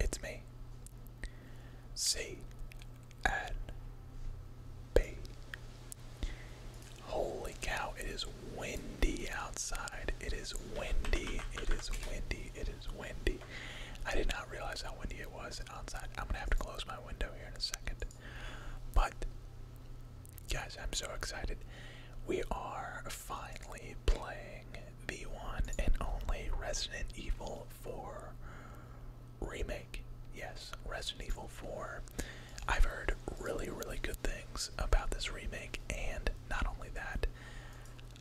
It's me. C and B. Holy cow, it is windy outside. It is windy. It is windy. It is windy. I did not realize how windy it was outside. I'm gonna have to close my window here in a second. But guys, I'm so excited we are finally playing the one and only Resident Evil 4 remake. Yes, Resident Evil 4. I've heard really, really good things about this remake, and not only that,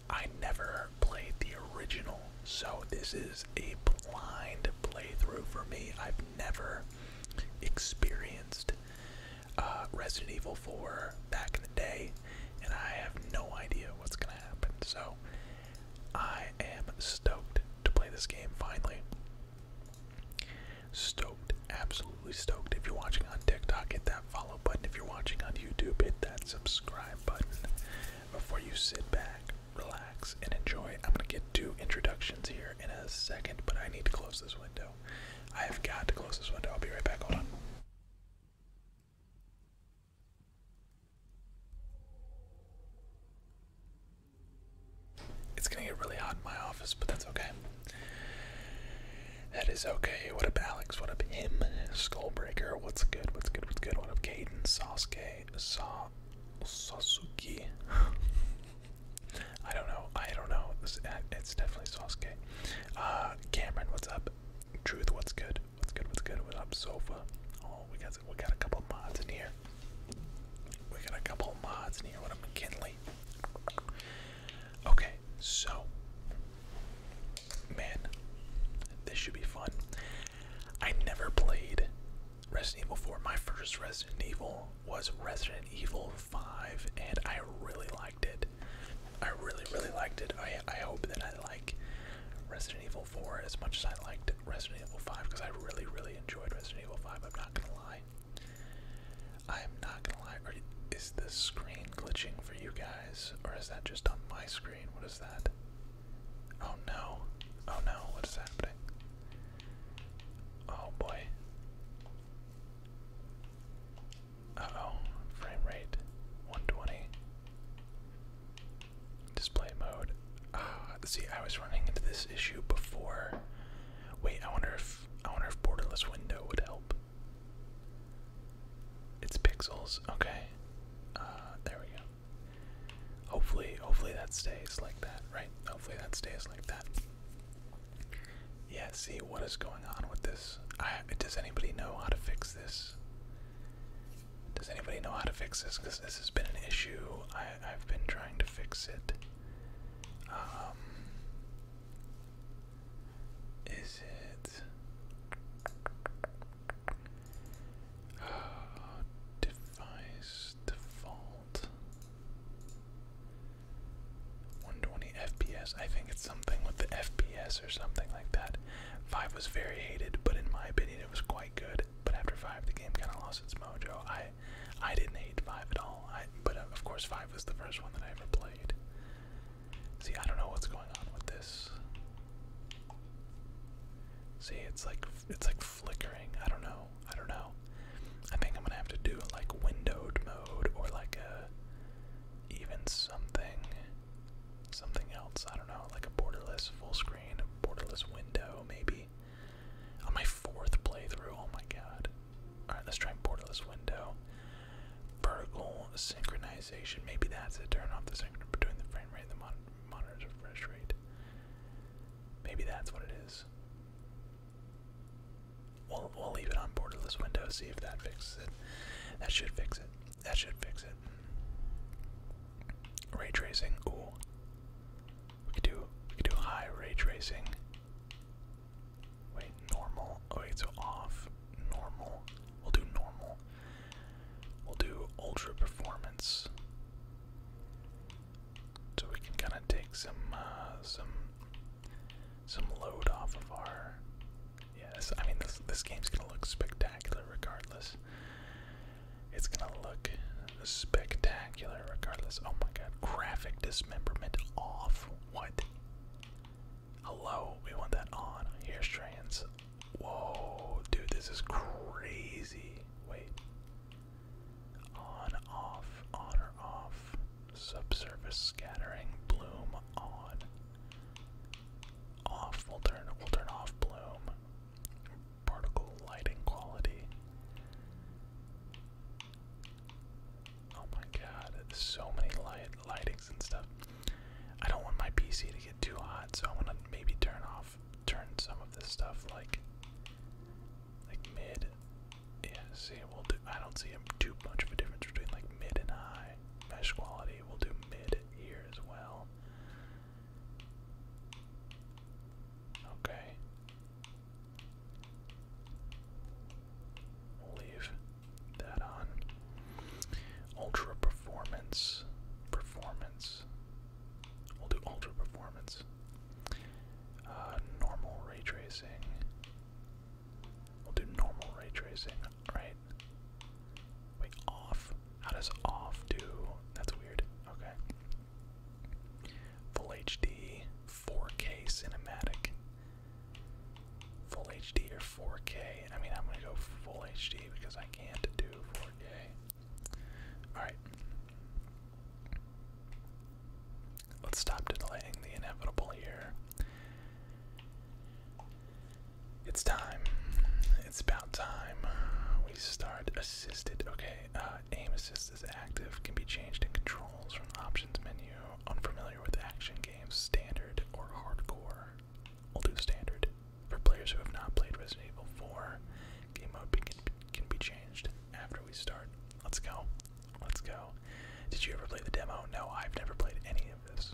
I never played the original, so this is a blind playthrough for me. I've never experienced uh, Resident Evil 4 back in the day and I have no idea what's going to happen. So I am stoked to play this game finally. Stoked, absolutely stoked. If you're watching on TikTok, hit that follow button. If you're watching on YouTube, hit that subscribe button before you sit back, relax, and enjoy. I'm going to get two introductions here in a second, but I need to close this window. I have got to close this window. I'll be right back. Hold on. It's gonna get really hot in my office, but that's okay. That is okay. What up, Alex? What up, him? Skullbreaker. What's good? What's good? What's good? What up, Caden? Sasuke? Sa Sasuke? I don't know. I don't know. It's, it's definitely Sasuke. Uh, Cameron, what's up? Truth, what's good? What's good? What's good? What up, sofa? Oh, we got we got a couple mods in here. We got a couple mods in here. What gonna up, McKinley? Okay, so man, this should be fun. I never played Resident Evil 4. My first Resident Evil was Resident Evil 5, and I really liked it. I really, really liked it. I, I hope that I like Resident Evil 4 as much as I liked Resident Evil 5 because I really, really enjoyed Resident Evil 5. I'm not gonna lie. I'm not gonna lie. Are is the screen glitching for you guys, or is that just on my screen? What is that? Oh no! Oh no! What is happening? Oh boy! Uh oh, frame rate 120. Display mode. Uh, see, I was running into this issue before. Wait, I wonder if I wonder if borderless window would help. It's pixels. Okay. Uh, there we go. Hopefully, hopefully that stays like that, right? Hopefully that stays like that. Yeah. See what is going on with this. does anybody know how to fix this? Does anybody know how to fix this? Because this has been an issue. I, have been trying to fix it. Um, it uh, device default? 120 FPS. I think it's something with the FPS or something like that. 5 was very hated, but in my opinion it was quite good. But after 5 the game kind of lost its mojo. I I didn't hate 5 at all. I but uh, of course 5 was the first one that I ever played. See, I don't know what's going on with this. See, it's like it's like flickering. I don't know. I don't know. I think I'm gonna have to do like windowed mode or like a even something something else. I don't know, like a borderless full screen, a borderless window, maybe. On my fourth playthrough, oh my god. Alright, let's try borderless window. Vertical synchronization, maybe that's it. Turn off the synchronization between the frame rate and the monitor's refresh rate. Maybe that's what it is. We'll, we'll leave it on borderless window, see if that fixes it. That should fix it. That should fix it. Ray tracing. Ooh. We could do we could do high ray tracing. Wait, normal. Oh wait, so off. Normal. We'll do normal. We'll do ultra performance. So we can kind of take some uh, some some load off of our Yes, I mean this this game's gonna look spectacular regardless. It's gonna look spectacular regardless. Oh my god, graphic dismemberment off. What? Hello, we want that on. Hair strands. Whoa, dude, this is crazy. Wait. On, off, on or off. Subsurface scattering, bloom on. Off, we'll turn we'll turn off bloom. Particle lighting quality. Oh my god, so many light lightings and stuff. I don't want my PC to get too hot, so I wanna maybe turn off turn some of this stuff like like mid. Yeah, see we'll do I don't see too much of a difference between like mid and high. Mesh quality, we'll do mid here as well. Okay. We'll leave that on. Ultra performance. Performance. We'll do ultra performance. Uh, normal ray tracing. We'll do normal ray tracing right? Wait, off? How does off do? That's weird. Okay. Full HD, 4K cinematic. Full HD or 4K? I mean, I'm gonna go full HD because I can't do 4K. Alright. Let's stop delaying the inevitable here. It's time. It's about time. We start assisted. Okay, uh, aim assist is active, can be changed in controls from options menu. Unfamiliar with action games, standard or hardcore. We'll do standard. For players who have not played Resident Evil 4, game mode can be changed after we start. Let's go. Let's go. Did you ever play the demo? No, I've never played any of this.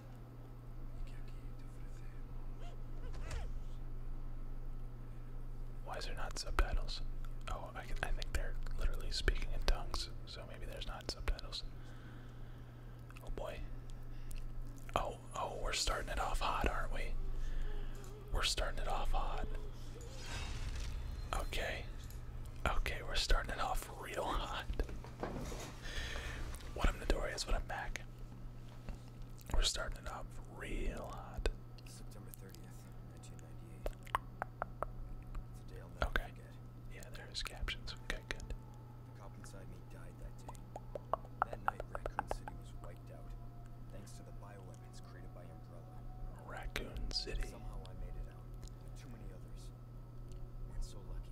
Why is there not subtitles? Oh, I, I think they're literally speaking in tongues, so maybe there's not subtitles. Oh boy. Oh, oh, we're starting it off hot, aren't we? We're starting it off hot. Okay. Okay, we're starting it off real hot. what I'm Midori is what I'm back. We're starting it up real hot. okay. Yeah, there's captions. Okay, good. Raccoon City was wiped out, thanks to the bioweapons created by Umbrella. Somehow I made it out, too many others weren't so lucky.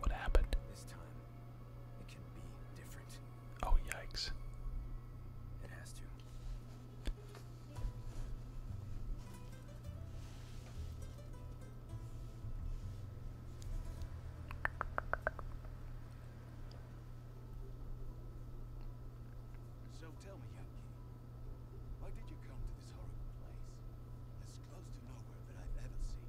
What happened? Oh, yikes. So tell me, Yankee, why did you come to this horrible place? As close to nowhere that I've ever seen.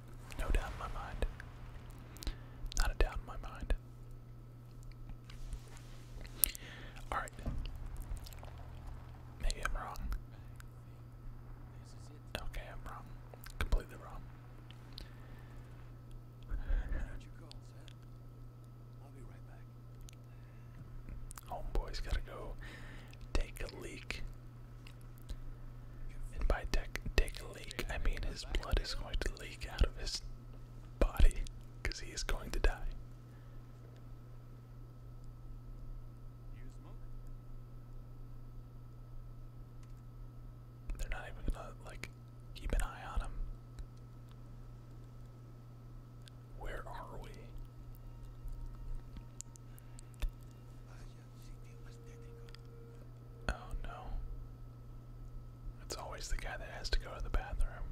No doubt in my mind. Not a doubt in my mind. Alright. Maybe I'm wrong. Okay, I'm wrong. Completely wrong. Homeboy's gotta go take a leak and by take a leak, I mean his blood is going to leak out of his body because he is going to die. They're not even gonna, like, keep an eye on him. Where are we? Oh no. It's always the guy that has to go to the bathroom.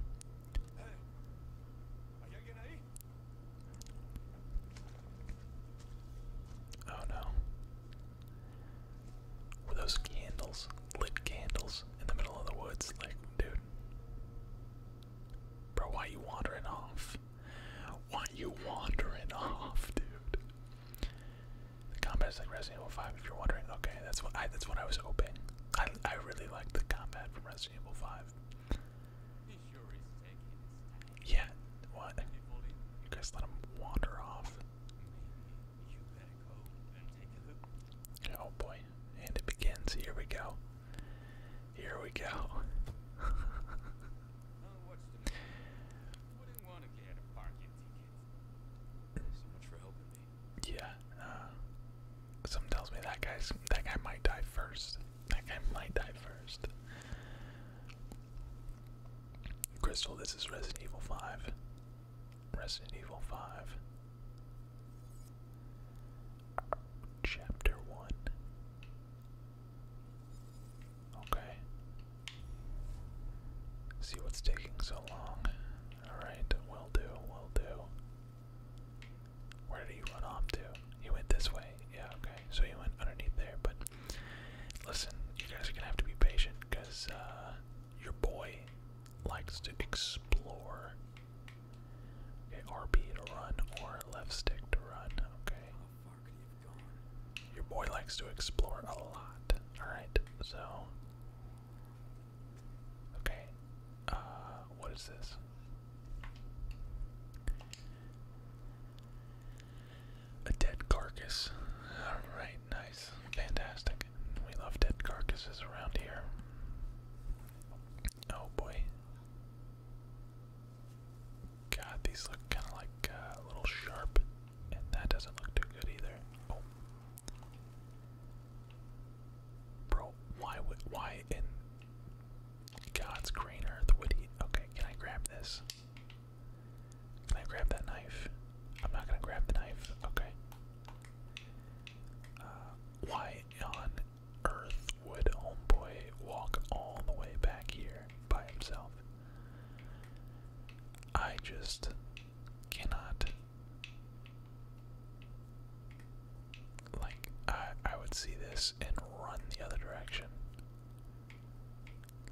Oh no. Were those candles, lit candles, in the middle of the woods? Like, dude. Bro, why are you wandering off? Why you wandering off, dude? The combat is like Resident Evil 5 if you're wondering. Okay, that's what I that's what I was hoping. I I really like the combat from Resident Evil 5. Yeah, what? You guys let him wander off. Oh boy. And it begins. Here we go. Here we go. Yeah. Uh, some tells me that guy's that guy might die first. That guy might die first. Crystal, this is Resident Evil 5. Resident Evil 5. Chapter 1. Okay. See what's taking so long. Alright, will do, will do. Where did you run off to? You went this way. Yeah, okay. So you went underneath there, but listen, you guys are gonna have to be patient because uh, your boy likes to explore. Okay, RB to run or left stick to run. Okay. Your boy likes to explore a lot. Alright, so. Okay. Uh, what is this? A dead carcass. Alright, nice. Fantastic. We love dead carcasses around here. Oh boy. God, these look kind of like uh, a little sharp, and that doesn't look too good either. Oh. bro, why would why in God's green earth would he? Okay, can I grab this? Can I grab that knife? I'm not gonna grab the knife. Okay. Uh, why on earth would homeboy walk all the way back here by himself? I just cannot. Like, I, I would see this and run the other direction.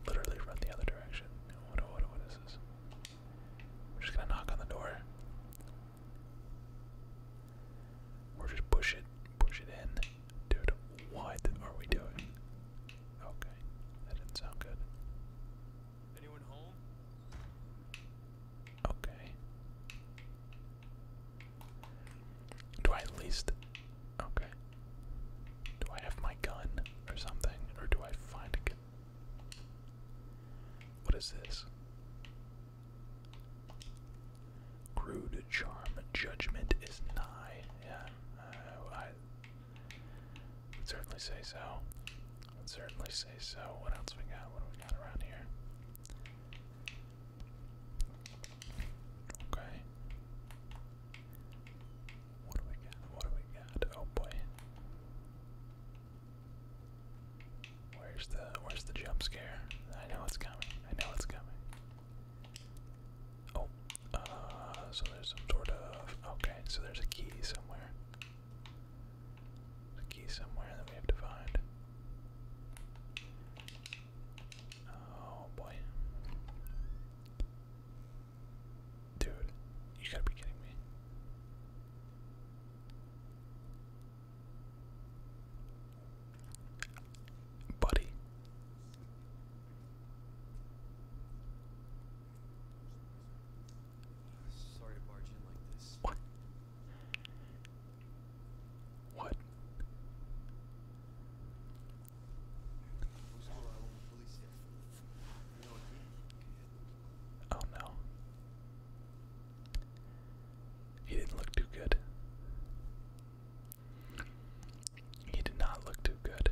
Literally run the other direction. What, what, what is this? We're just gonna knock on the door. Or just push it, push it in. Dude, what are we doing? Okay, that didn't sound good. Anyone home? Okay. Do I at least. Okay. Do I have my gun or something? Or do I find a gun? What is this? Crude charm. Judgment is nigh. Yeah. Uh, I would certainly say so. I would certainly say so. What else we got? What do we got around here? Okay. What do we got? What do we got? Oh boy. Where's the where's the jump scare? I know it's coming. I know it's coming. Oh, uh, so there's some sort of. Okay, so there's a key somewhere. a key somewhere that we have to find. Oh boy. Dude, you gotta be kidding me. Buddy, Sorry to barge in like this. What? What? Oh no. He didn't look too good. He did not look too good.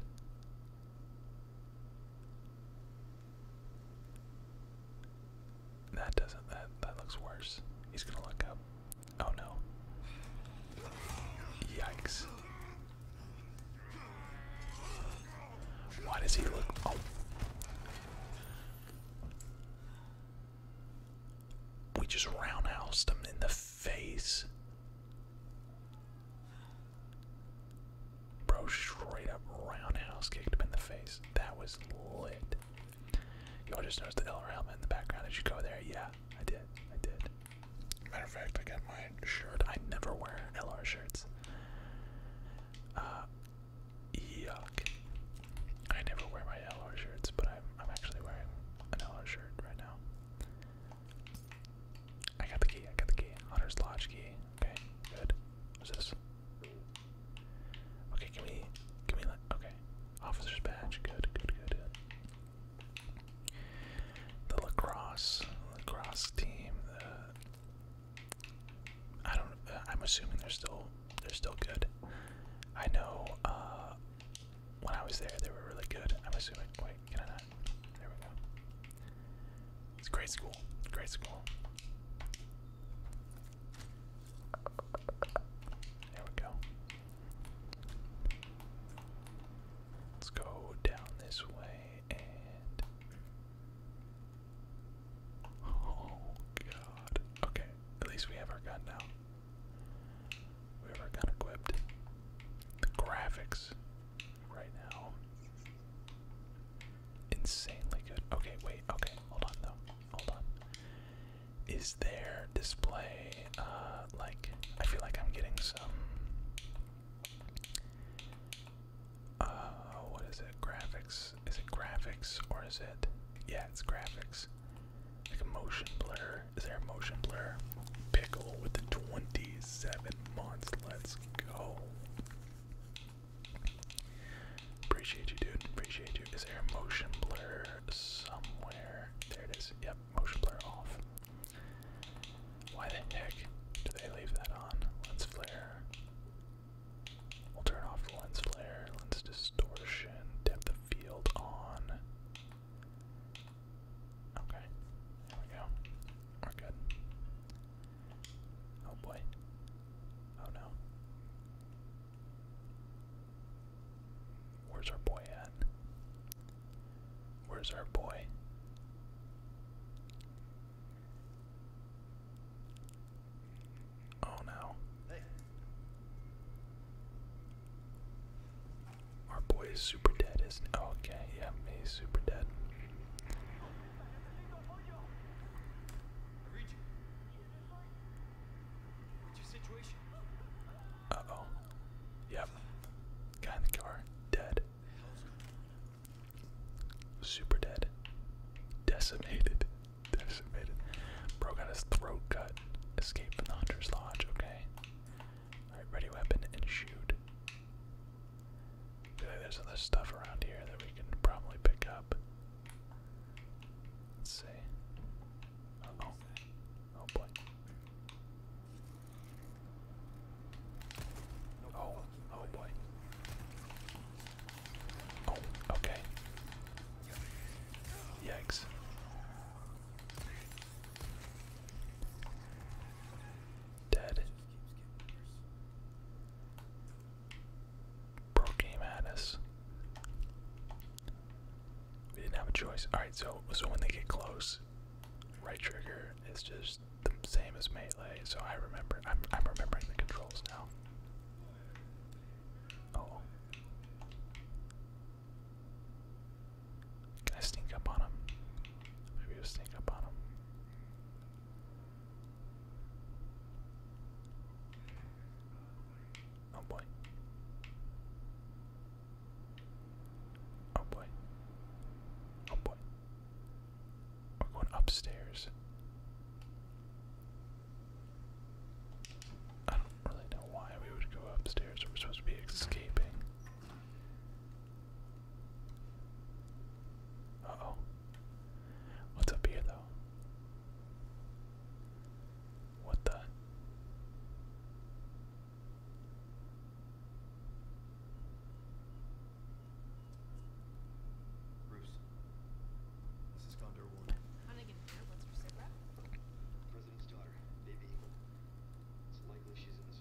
That doesn't that that looks worse. He's gonna look up. Oh no. Yikes. Why does he look oh. we just roundhoused him in the face. Bro, straight up roundhouse kicked him in the face. That was lit. Y'all just noticed the LR helmet in the background. as you go there? Yeah, I did. I did. Matter of fact, I got my shirt. I never wear LR shirts. Uh, yuck. I never wear my LR shirts, but I'm, I'm actually wearing an LR shirt right now. I got the key, I got the key. Hunter's Lodge key. Okay, good. What's this? Okay, give me, give me that. Okay. Officer's badge. Good, good, good. The lacrosse, lacrosse team. The, I don't. Uh, I'm assuming they're still, they're still good. I know. Uh, when I was there, they were really good. I'm assuming. Wait, can I not? There we go. It's a great school. Great school. There we go. Let's go down this way and. Oh god. Okay, at least we have our gun now. We have our gun equipped. The graphics right now. Insanely good. Okay, wait, okay, hold on though. Hold on. Is there display uh like I feel like I'm getting some uh what is it? Graphics. Is it graphics or is it yeah it's graphics. Like a motion blur. Is there a motion blur? Pickle with the twenty-seven Let's go. Appreciate you, dude. Appreciate you. Is there motion blur somewhere? There it is. Yep, motion blur off. Why the heck do they leave that on? Lens flare. We'll turn off the lens flare, lens distortion, depth of field on. Okay. There we go. We're good. Oh boy. Oh no. Where's our boy at? Where's our boy? Oh no. Hey. Our boy is super dead, isn't oh, okay, yeah, me super dead. Uh oh. yeah, Guy in the car. Dead. Super dead. Decimated. Decimated. Bro got his throat cut. Escape from the hunter's lodge. Okay. Alright, ready weapon and shoot. there's other stuff around here that we can probably pick up. Let's see. Uh oh. Oh boy. Oh, oh boy. Oh, okay. Yikes. Dead. Bro came at us. We didn't have a choice. Alright, so so when they get close, right trigger is just the same as melee, so I remember I'm I'm remembering the controls now. Oh. Can I sneak up on him? Maybe i sneak up on him. Oh boy. Oh boy. Oh boy. We're going upstairs. I don't really know why we would go upstairs. We're supposed to be escaping oh. What's up here, though? What the? Bruce, this is Condor One. How here? What's her secret? President's daughter, Baby It's likely she's in this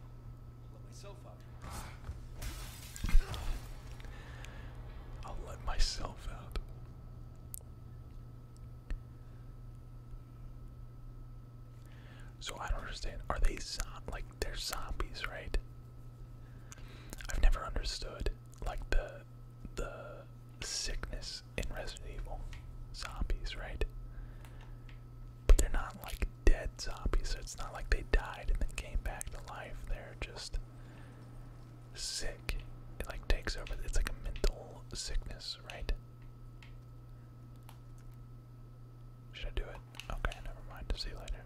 I'll let myself out. So I don't understand. Are they zo like they're zombies, right? I've never understood like the the sickness in Resident Evil zombies, right? but they're not like dead zombies. So it's not like they died and then came back to life. They're just sick. like takes over. It's like a mental sickness, right? Should I do it? Okay, never mind. See you later.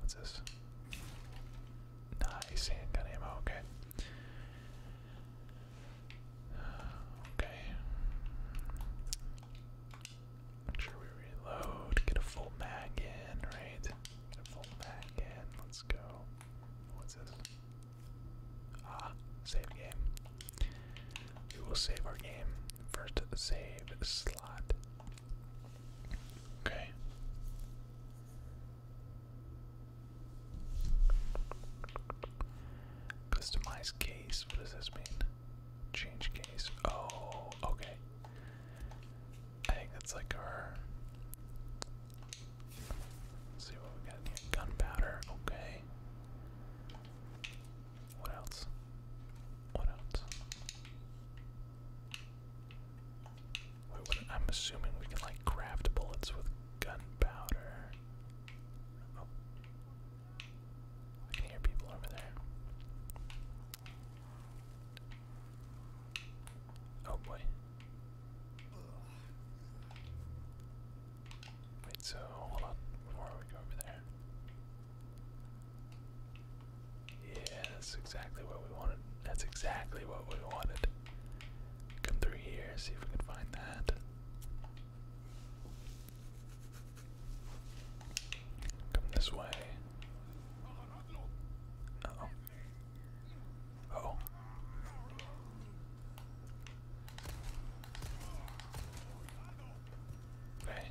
What's this? Nice handgun ammo. Okay. Okay. Make sure we reload. Get a full mag in, right? Get a full mag in. Let's go. What's this? Ah, save game. We will save our game. First save slot. Okay. Customize case. What does this mean? Change case. Oh, okay. I think that's like our. see what we got here. Gunpowder. Okay. What else? What else? I'm assuming we can like craft bullets with gunpowder. Oh. I can hear people over there. Oh boy. Wait, so hold on before we go over there. Yeah, that's exactly what we wanted. That's exactly what we wanted. Come through here, see if we can find that. Come this way. oh. oh. Okay.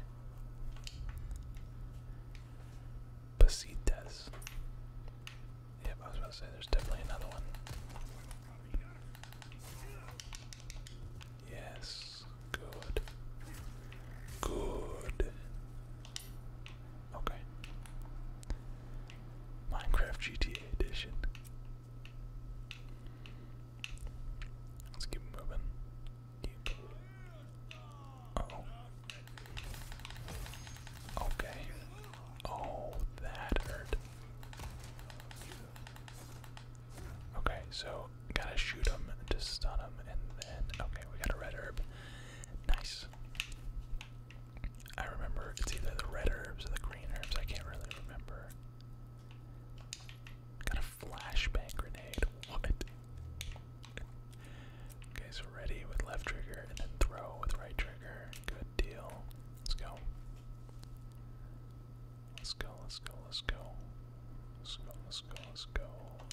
Pasitas. Yep, I was about to say there's definitely another one. Yes. Good. Good. Okay. Minecraft GTA Edition. Let's keep moving. oh. Okay. Oh, that hurt. Okay, so gotta shoot him to stun him, and then okay, we got a red herb. Nice. I remember it's either the red herbs or the green herbs. I can't really remember. Got a flashbang grenade. What? okay, so ready with left trigger and then throw with right trigger. Good deal. Let's go. Let's go, let's go, let's go. Let's go, let's go, let's go.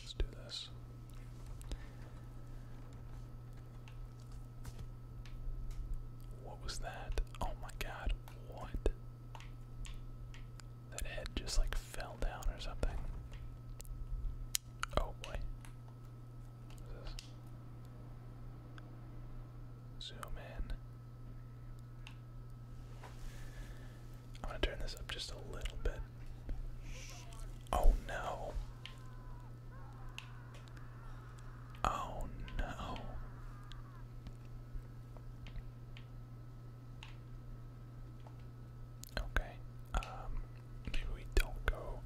Let's do this. What was that? Oh my god, what? That head just like fell down or something. Oh boy. this? Zoom in. I'm gonna turn this up just a little bit. Oh no. Oh no. Okay. Um maybe we don't go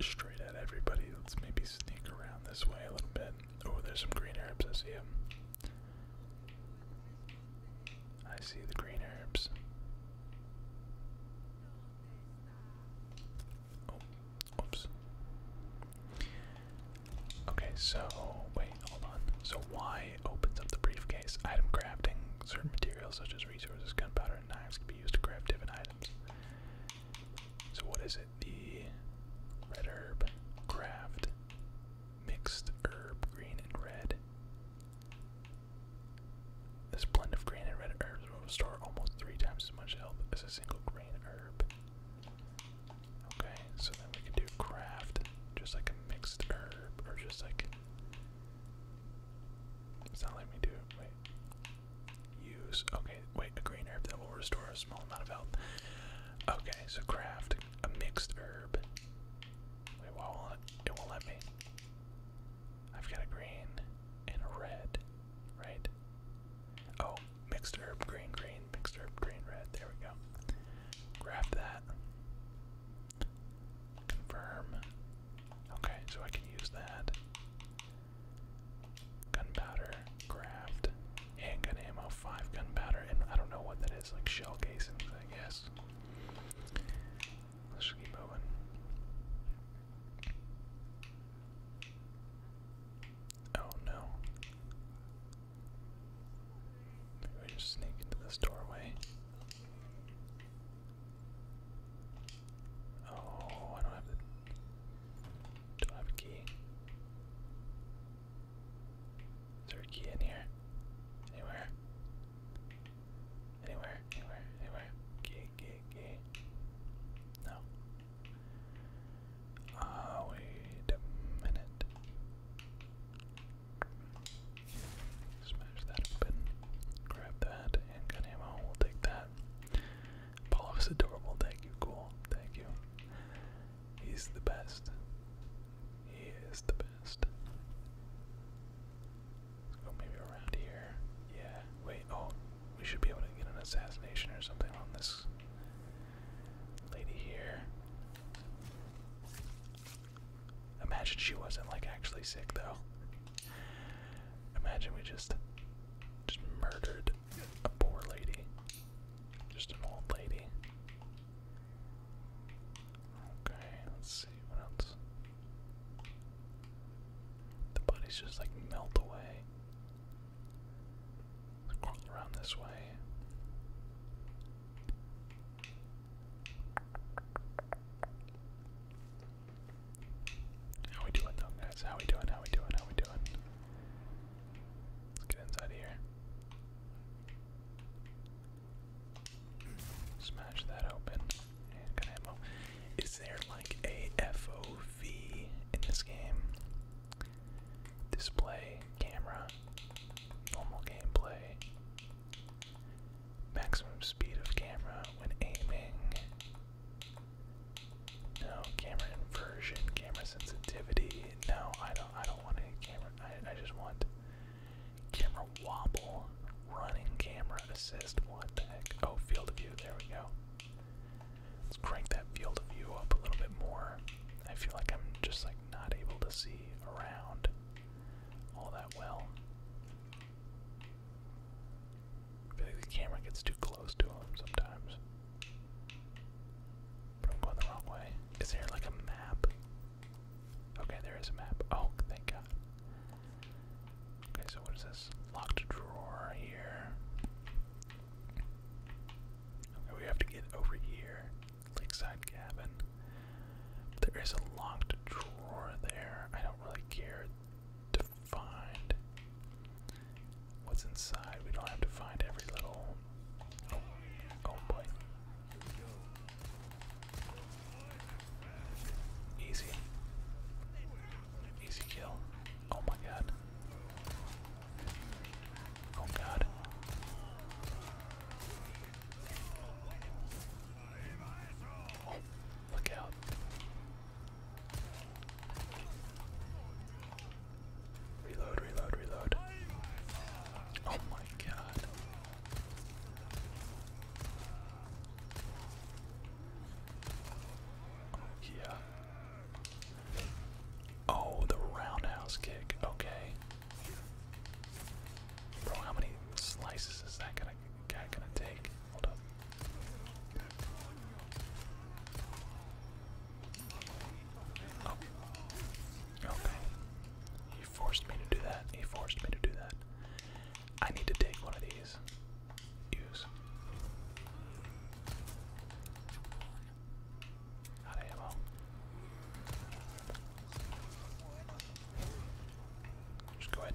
straight at everybody. Let's maybe sneak around this way a little bit. Oh, there's some green herbs. I see them. I see the green herbs. Oh, oops. Okay, so wait, hold on. So Y opens up the briefcase. Item crafting. Certain materials such as resources, gunpowder, and knives can be used to craft different items. So what is the red herb craft mixed herb green and red. This blend of green and red herbs will restore almost three times as much health as a single green herb. Okay, so then we can do craft just like a mixed herb, or just like. It's not letting me do Wait. Use. Okay, wait, a green herb that will restore a small amount of health. Okay, so craft a mixed herb. Wait, why won't it, won't let me? I've got a green and a red, right? Oh, mixed herb, green, green, mixed herb, green, red. There we go. Craft that. Confirm. Okay, so I can use that. Gunpowder, craft, and gun ammo, five gun gunpowder, and I don't know what that is, like shell casings, I guess. Let's just keep moving. Oh no. Maybe we just sneak into this doorway. Oh, I don't have the don't have a key. Is there a key in here? Anywhere? Anywhere, anywhere, anywhere. Key, key, key. No. Ah, wait a minute. Smash that open. Grab that. Handgun ammo. We'll take that. Apollo's adorable. Thank you. Cool. Thank you. He's the best. He is the best. Let's oh, go maybe around here. Yeah, wait, oh, we should be able to get an assassination or something on this lady here. Imagine she wasn't like actually sick though. Imagine we just just murdered a poor lady. Just an old lady. Okay, let's see what else. The bodies just like melt away. let crawl around this way. How we doing though guys? How we doing? How we doing? How we doing? Let's get inside here. Smash that open. Is there like a FOV in this game? Display, camera, normal gameplay, maximum speed of camera when aiming. No, camera inversion, camera sensitivity. No, I I don't want any camera. I, just want camera wobble, running camera assist. What the heck? Oh, field of view. There we go. Let's crank that field of view up a little bit more. I feel like I'm just like not able to see around all that well. I feel like the camera gets too close to him sometimes. I'm going the wrong way. Is there like a map? Okay, there is a map. Oh, thank God. Okay, so what is this? Locked drawer here. Okay, we have to get over here. Lakeside cabin. There is a locked drawer there. I don't really care to find what's inside. We don't have to find every little Oh, oh boy. Easy. Easy kill. Oh my god. Oh god. Oh, look out. Reload, reload, reload. Oh my god. yeah. Oh, the roundhouse kick. Okay. Bro, how many slices is that gonna guy gonna take? Hold up. Oh. Okay. He forced me to do that. He forced me to do that. I need to take one of these. Use. Not ammo. Just go ahead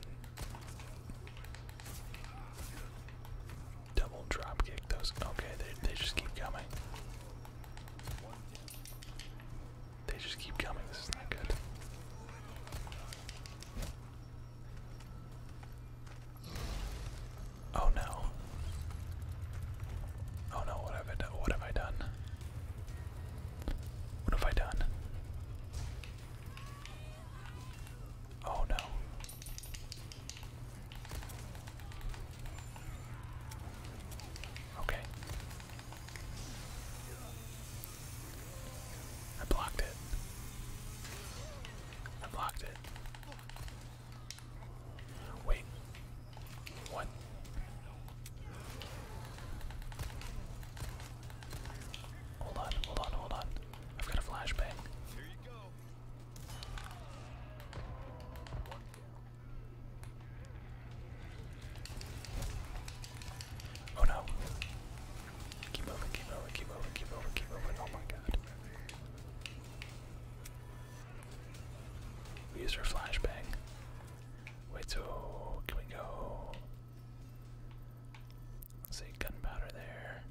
double drop kick those. Okay, they they just keep coming. They just keep coming. This is not good. Oh no. Oh no, what have I done? What have I done? What have I done? Oh no. Okay. I blocked it. I blocked it. Wait. What? Hold on, hold on, hold on. I've got a flashbang. Oh no. Keep moving, keep moving, keep moving, keep moving, keep moving. Oh my god. We our flashbang. Wait, so can we go? see, gunpowder there.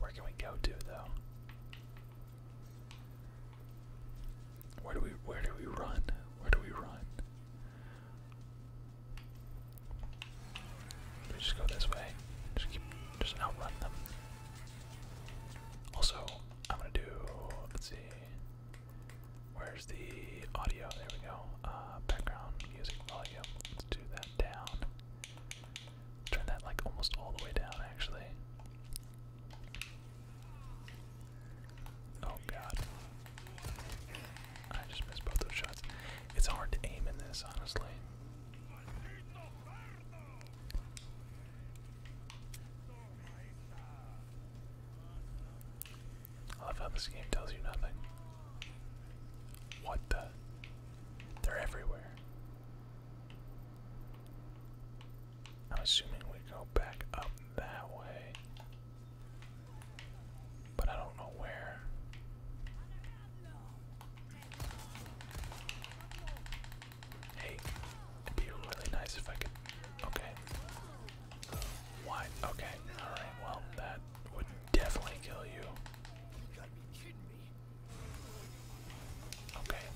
Where can we go to, though? Where do we where do we run? Where do we run? We just go this way. Just keep just outrun them. Also, I'm gonna do let's see. Where's the audio? There we go. Uh, background music volume. Let's do that down. Turn that like almost all the way down actually. Oh god. I just missed both those shots. It's hard to aim in this, honestly. I love how this game tells you nothing. What the? They're everywhere. I'm assuming we go back up that way. But I don't know where. Hey, it'd be really nice if I could. Okay. Why? Okay. Alright, well, that would definitely kill you. Okay.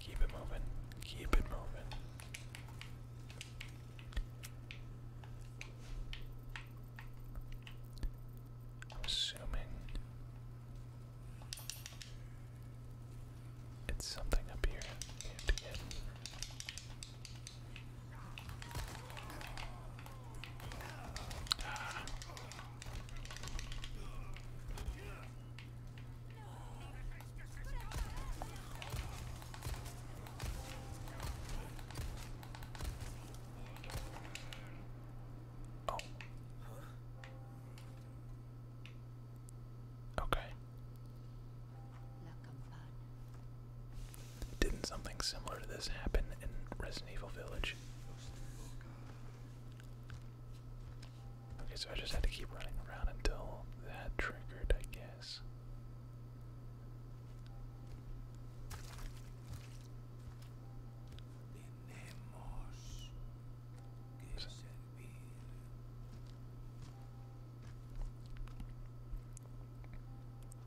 Keep it moving. Keep it moving. I'm assuming it's something up here. Oh. Okay. Didn't something similar to this happen in Resident Evil Village? Okay, so I just had to keep running around until that triggered, I guess.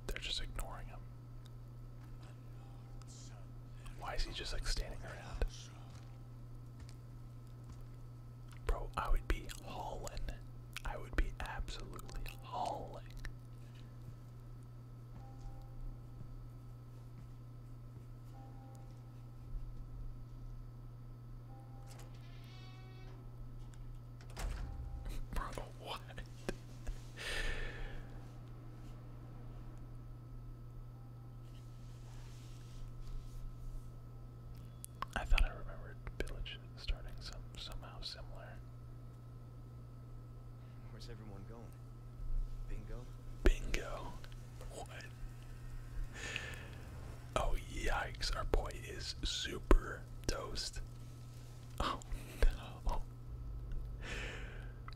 They're just ignoring him. Why is he just like standing around? Bro, I would be hauling. I would be absolutely hauling. Bro, what? I thought I remembered village starting some somehow similar. Where's everyone going? Bingo? Bingo. What? Oh yikes, our boy is super toast. Oh no.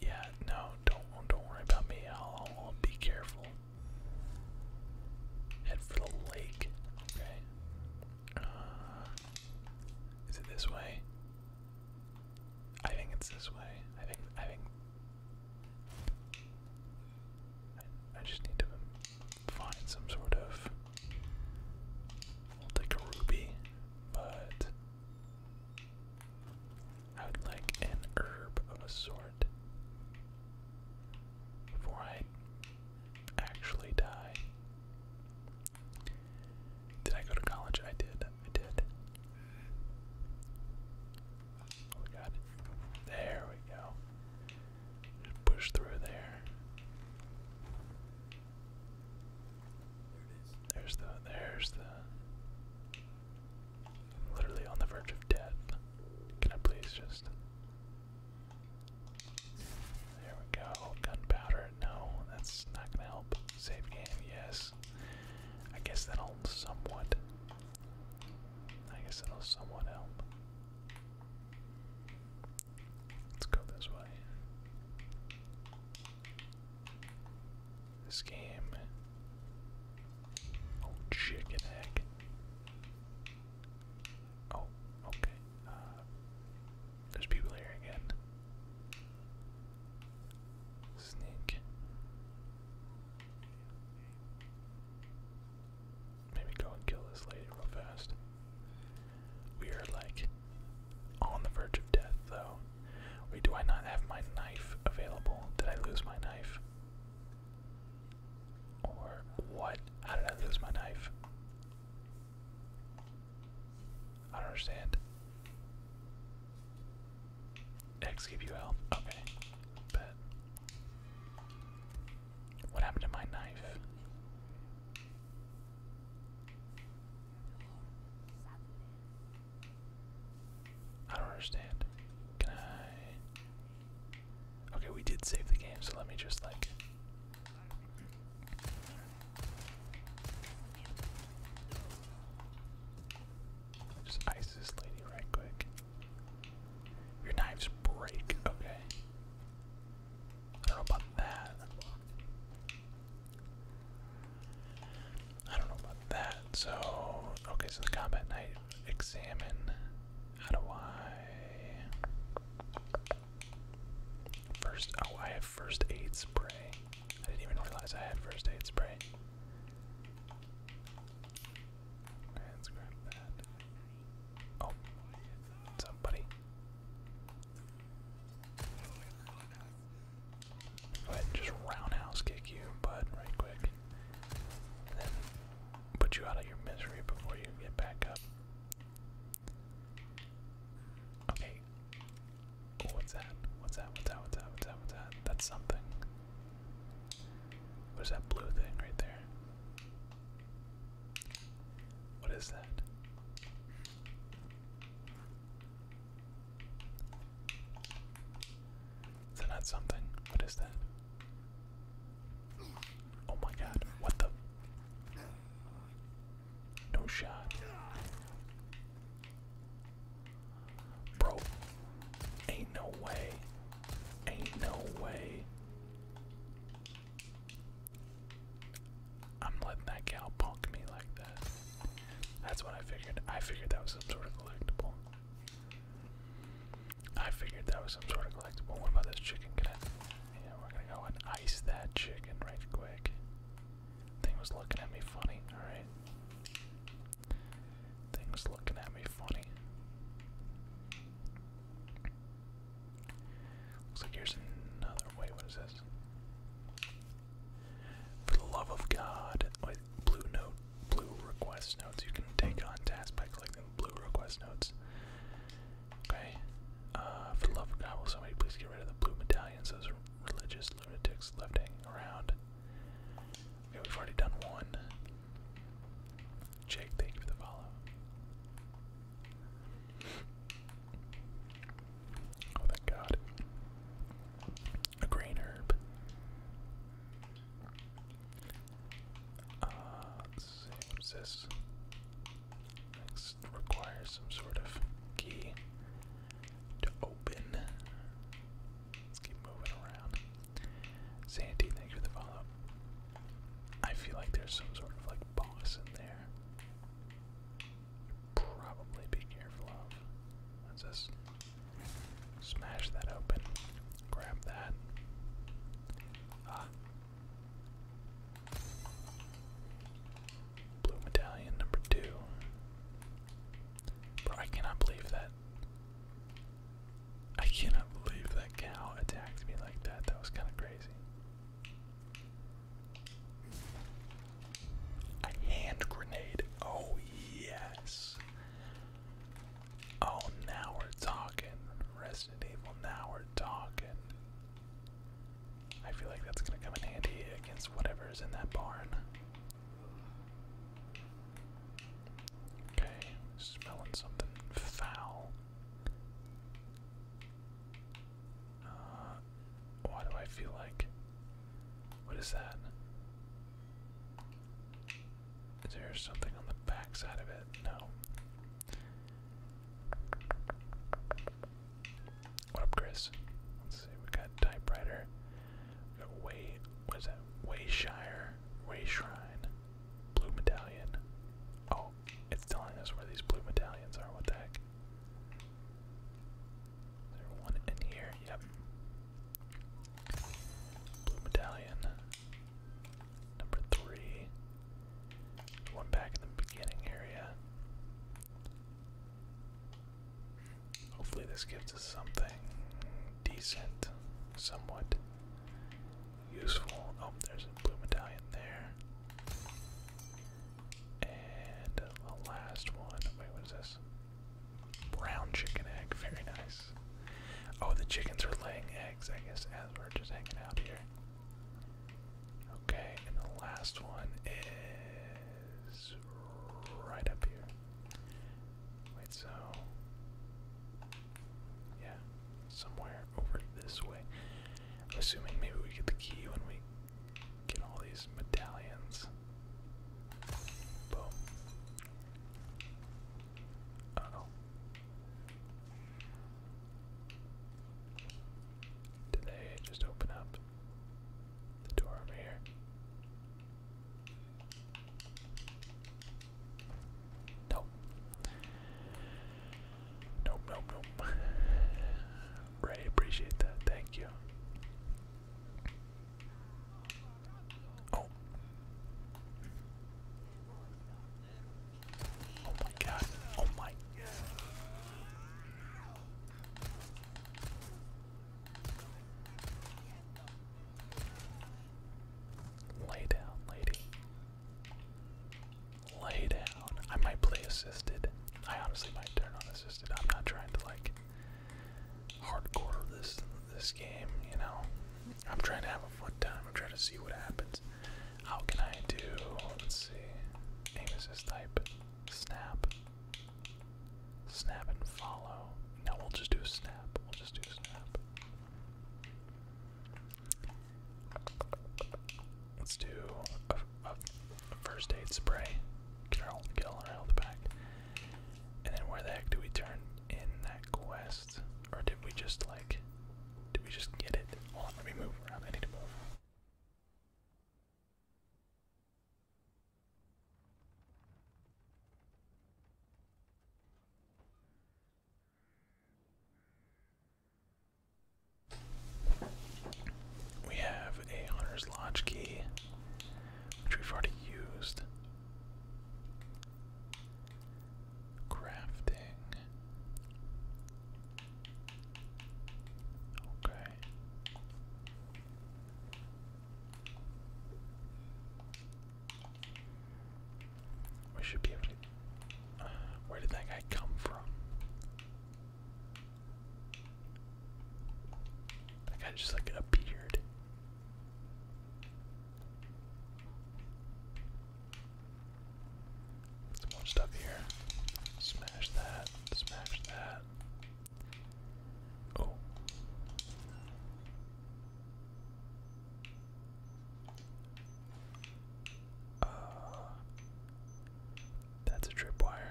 Yeah, no, don't don't worry about me. I'll, I'll be careful. Head for the lake. Okay. Uh, is it this way? I think it's this way. I think I think I just need to find some sort of. I'll take a ruby, but I would like an herb of a sort before I actually die. Did I go to college? I did. I did. Oh, we got There we go. Just push through there. There's the. There's the. literally on the verge of death. Can I please just. There we go. Gunpowder. No, that's not gonna help. Save game, yes. I guess that'll somewhat. I guess that'll somewhat help. Let's go this way. This game. Oh, chicken egg. Oh, okay. Uh, there's people here again. Sneak. Maybe go and kill this lady real fast. We are like on the verge of death, though. Wait, do I not have my knife available? Did I lose my knife? Or what? How did I lose my knife? I don't understand. X give you health. Okay. Bet. What happened to my knife? I don't understand. Can I? Okay, we did save the game, so let me just like. Just ice lady right quick. Your knives break. Okay. I don't know about that. I don't know about that. So, okay, so the combat night examine. How do I. First. Oh, I have first aid spray. I didn't even realize I had first aid spray. Okay, let that. Oh, what's up, buddy? Go ahead and just roundhouse kick you, bud, right quick. And then put you out of your misery before you get back up. Okay. Oh, what's that? What's that? What's that? What's that? What's that? What's that? That's something. What is that blue thing right there? What is that? Is that something? What is that? Oh my god, what the? No shot. Bro, ain't no way. Ain't no way. I'm letting that gal punk me like that. That's what I figured. I figured that was some sort of collectible. I figured that was some sort of collectible. What about this chicken? Can I? Yeah, we're gonna go and ice that chicken right quick. Thing was looking at me funny. All right. Thing was looking at me funny. Looks like here's another. Wait, what is this? For the love of God, with blue note, blue request notes, you can take on tasks by collecting blue request notes. Okay. Uh, for the love of God, will somebody please get rid of the blue medallions? Those religious lunatics left hanging around. Okay, we've already done one. Jake, thank you for the follow. Oh, thank God a green herb. Uh, what's this? Next requires some sort of key to open. Let's keep moving around. Sandy, thank you for the follow I feel like there's some sort of like boss in there. Should probably be careful of. What's this? Smash that open. Grab that. Ah. Blue medallion number two. I cannot believe that. I cannot believe that cow attacked me like that. That was kind of crazy. A hand grenade. Oh, yes. Oh, now we're talking. Resident Evil, now we're talking. I feel like that's gonna come in handy against whatever in that barn. Okay, smelling something foul. Uh, why do I feel like. What is that? Is there something on the back side of it? No. What up, Chris? Let's see, we got typewriter. We got way what is that? Wayshire, Way Shrine, Blue Medallion. Oh, it's telling us where these blue medallions are, what the heck? Is one in here? Yep. Blue medallion. Number three. One back in the beginning area. Hopefully, this gives us something decent, somewhat useful. Oh, there's a blue medallion there. And the last one. Wait, what is this? Brown chicken egg, very nice. Oh, the chickens are laying eggs, I guess, as we're just hanging out here. Okay, and the last one is right up here. Wait, so. Yeah, somewhere over this way. assuming maybe we get the key when we get all these medallions. Boom. Did they just open up the door over here? Nope, nope, nope. Ray, appreciate that. Thank you. Oh. my god. Oh my. Lay down, lady. Lay down. I might play assisted. I honestly might I'm not trying to like hardcore this this game, you know. I'm trying to have a fun time. I'm trying to see what happens. How can I do? Let's see. Aim assist type. Snap. Snap and follow. No, we'll just do snap. We'll just do snap. Let's do first aid spray. Get get our health back. And then where the heck do we turn in that quest? Or did we just like did we just get it? on, let me move around. I need to move. We have a hunter's lodge key, which we've already used. Crafting. Okay. We should be able to. Uh, where did that guy come from? That guy just like appeared. Some more stuff here. Smash that. Smash that. Oh. Uh, that's a tripwire.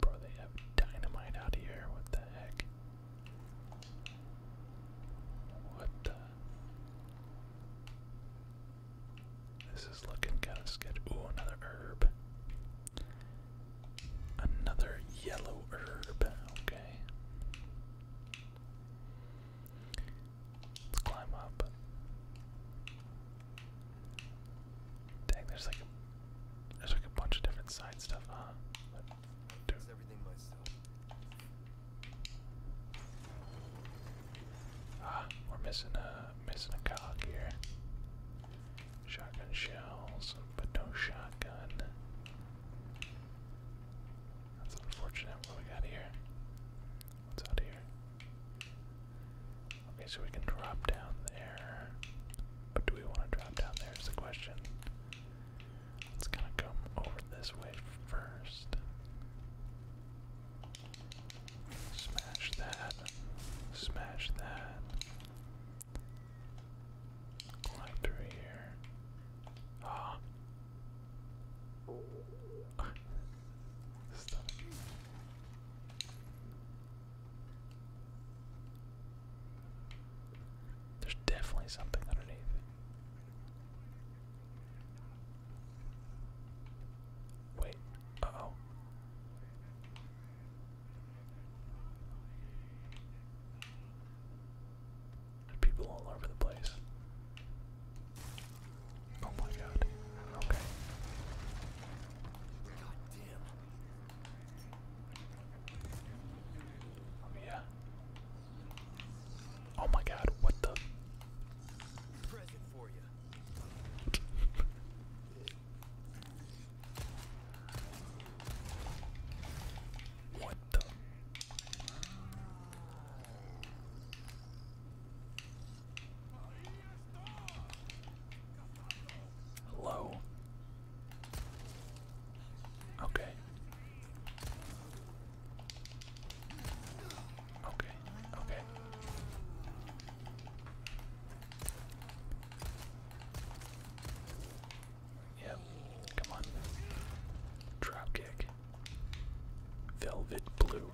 Bro, they have dynamite out here. What the heck? What the? This is looking kind of sketchy. Ooh, another herb. Another yellow herb. Okay. Let's climb up. Dang, there's like a there's like a bunch of different side stuff, huh? Do Ah, we're missing a missing a cog here. Shotgun shells, but no shotgun. That's unfortunate. What we got here? What's out here? Okay, so we can drop down there. But do we want to drop down there is the question. Let's kind of come over this way first. Smash that. Smash that. Climb through here. Ah. Stop. There's definitely something underneath. Wait, oh. There's people all over the place. Oh my god. Okay. Oh yeah. Oh my God! What the? what the? Low. Okay. Okay. Okay. Yep. Come on. Drop kick. Velvet blue.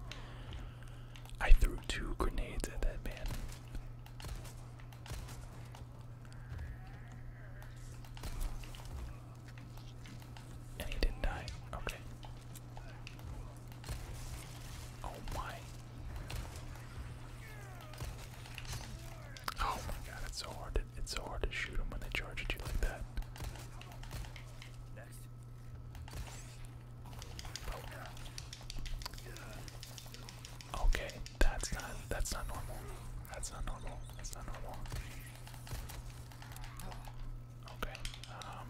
I threw two grenades at that man. And he didn't die. Okay. Oh my. Oh my god, it's so hard to it's so hard to shoot them when they charge at you like that. Okay, that's not that's not normal. That's not normal. That's not normal. Okay. Um.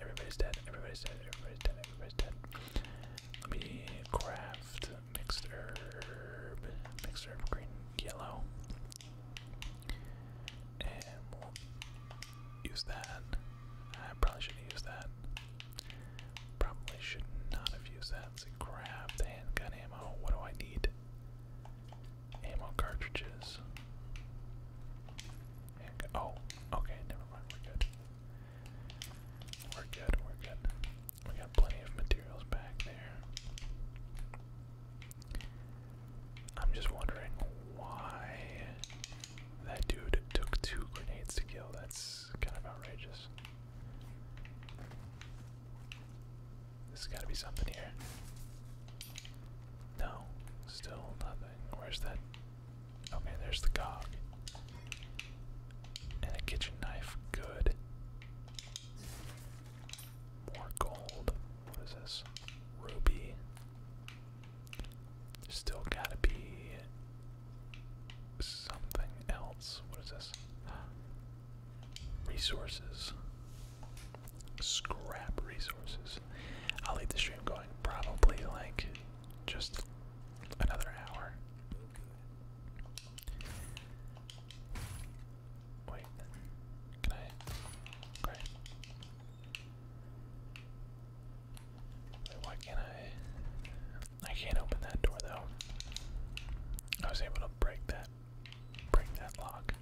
Everybody's dead. Everybody's dead. Everybody's dead. Everybody's dead. Let me craft mixed herb, mixed green, yellow. And we'll use that. I probably should have used that. Probably should not have used that. grab the handgun ammo. What do I need? Ammo cartridges. Oh, okay, never mind. We're good. We're good, we're good. We got plenty of materials back there. I'm just wondering why that dude took two grenades to kill. That's kind of outrageous. There's gotta be something here. No, still nothing. Where's that? Okay, there's the cog. And a kitchen knife. Good. More gold. What is this? Ruby. still gotta be something else. What is this? Resources. Scrap resources. I'll leave the stream going probably like just another hour. Wait, can I? why can't I? I can't open that door though. I was able to break that, break that lock.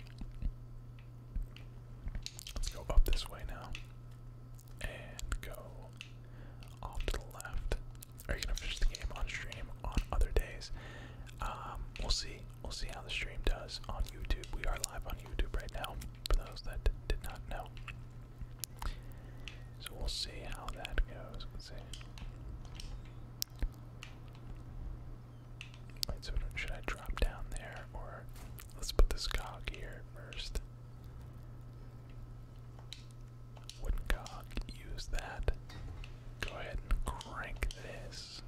Let's go up this way now, and go off to the left are you gonna finish the game on stream on other days? Um, we'll see. We'll see how the stream does on YouTube. We are live on YouTube right now, for those that did not know. So we'll see how that goes. should I drop down there or let's put this cog here first? Woodcock, use that. Go ahead and crank this.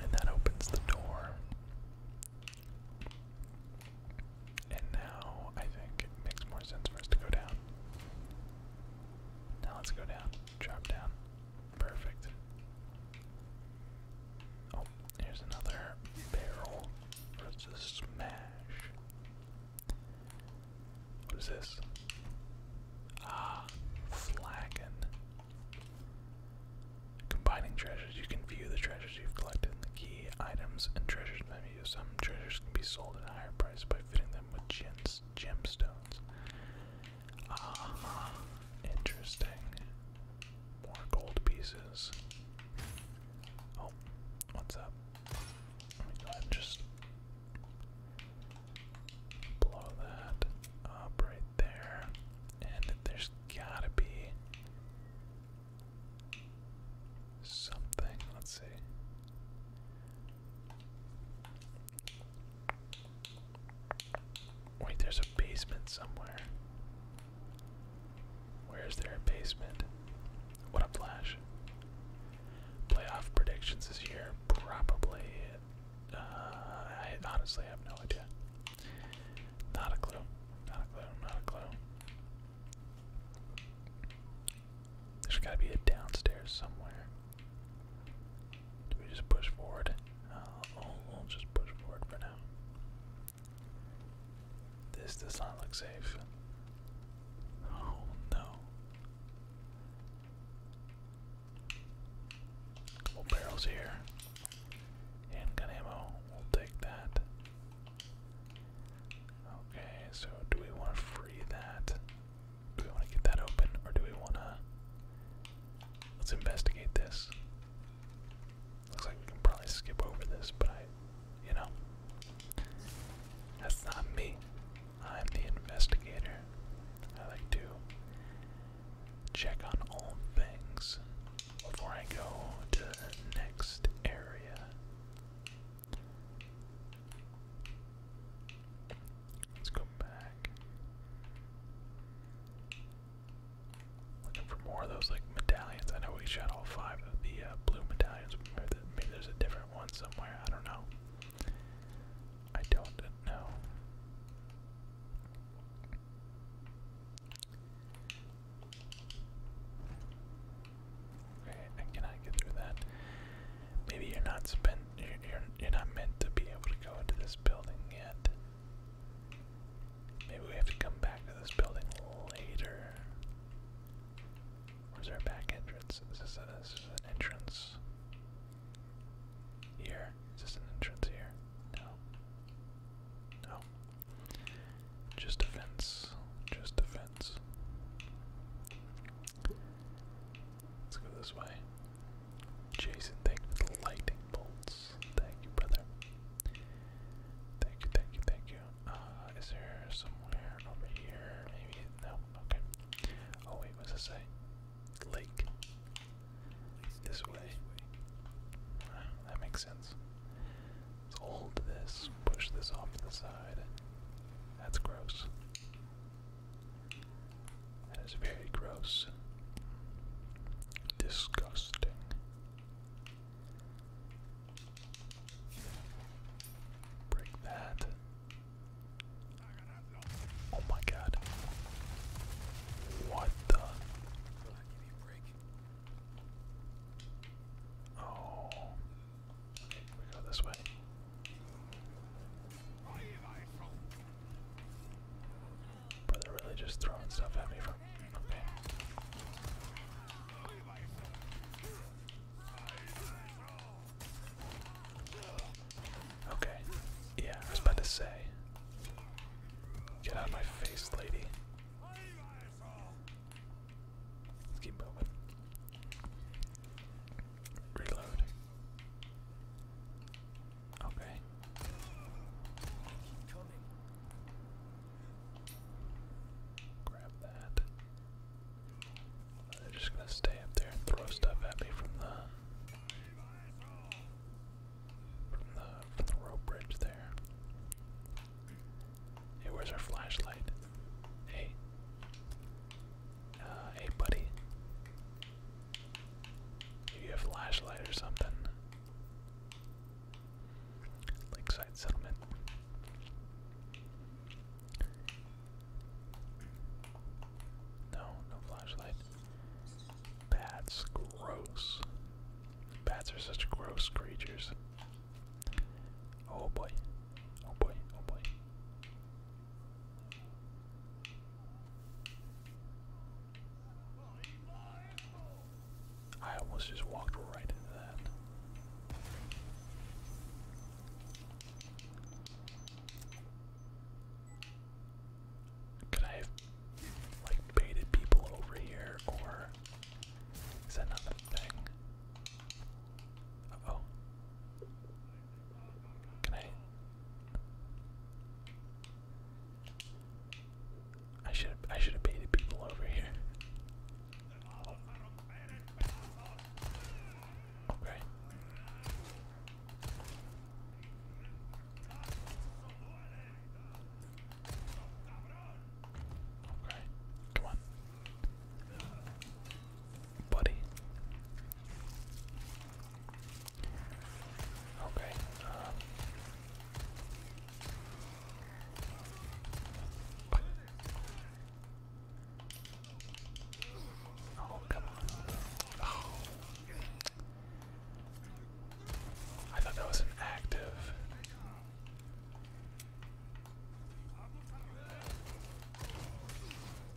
And that opens the door. And now I think it makes more sense for us to go down. Now let's go down. Drop down. Perfect. Oh, here's another barrel. Let's just smash. What is this? Ah, flagon. Combining treasures, you can view the treasures you've collected the key items and treasures Some treasures can be sold at a higher price by fitting them with gems, gemstones. Ah, interesting. More gold pieces. Oh, what's up? And just blow that up right there. And there's gotta be something. Let's see. Wait, there's a basement somewhere. Where is there a basement? What a flash playoff predictions this year? Probably. Uh, I honestly have no idea. Not a clue. Not a clue. Not a clue. There's got to be a downstairs somewhere. Do we just push forward? Uh, oh, will just push forward for now. This does not look safe. Oh no. Couple barrels here. Handgun ammo, we'll take that. Okay, so do we want to free that? Do we want to get that open, or do we want to. Let's investigate this. Looks like we can probably skip over this, but I. You know. That's not me. I'm the investigator. I like to check on all things before I go to the next area. Let's go back. Looking for more of those like medallions. I know we shot all five of the uh, blue medallions. Maybe there's a different one somewhere. I don't know. I don't know. Okay, I cannot get through that. Maybe you're not spent. You're, you're not meant to be able to go into this building yet. Maybe we have to come back to this building later. Where's our back entrance? this, is an entrance? Here. Is this an entrance here? No. No. Just a fence. Just a fence. Let's go this way. Jason, thank you for the lightning bolts. Thank you, brother. Thank you, thank you, thank you. Uh, is there somewhere over here? Maybe? No? Okay. Oh, what does it say? Lake. This way. that makes sense. hold this, push this off to the side. That's gross. That is very gross. Disgusting. Break that. Oh my god. What the? Oh. We go this way. they're really just throwing stuff at me from. Okay. Yeah, I was about to say. Get out of my face, lady. Let's keep moving. Reload. Okay. Grab that. They're just gonna stay up there and throw stuff at me from the from the from the rope bridge there. Hey, where's our flashlight? Hey. Uh, hey buddy. Maybe a flashlight or something. Lakeside settlement. No, no flashlight. Bats, gross. Bats are such gross creatures. Oh boy. Oh boy, oh boy. I almost just walked right into that. Could I have like baited people over here or is that not the thing? oh. Can I I should I should have baited people over here. Okay. Okay. Come on. Buddy. Okay. Um. Oh, oh, I thought that was an active.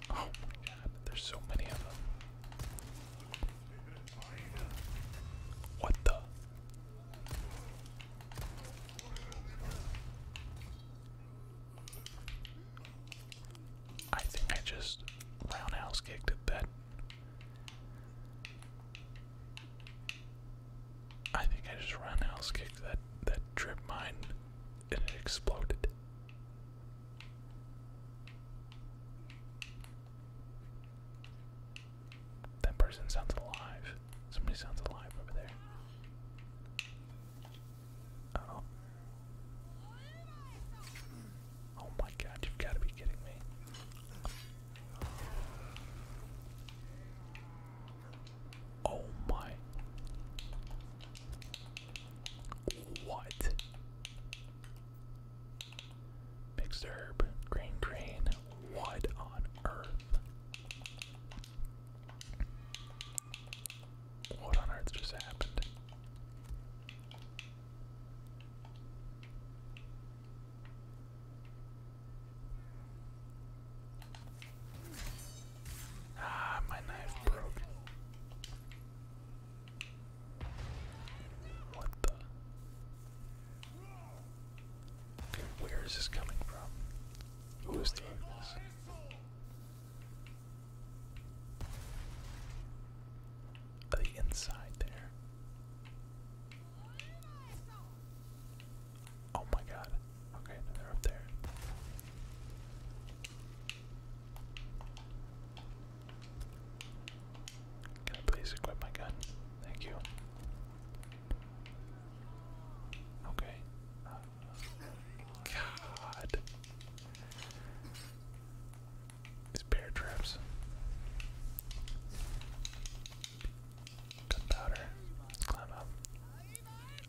Oh my god, there's so many of them. What the? I think I just roundhouse kicked at that. I think I just roundhouse kicked that that trip mine and it exploded. That person sounds alive. Somebody sounds alive over there. Oh. oh. my god, you've got to be kidding me. Oh my. What? Mixed herb, green grain, what on earth? What on earth just happened? Ah, my knife broke. What the? where is this coming from? Who is throwing this? The inside there. Oh my god. Okay, they're up there. Can I please equip my gun? Thank you. Okay. Uh, god is bear traps. Gunpowder. Let's climb up.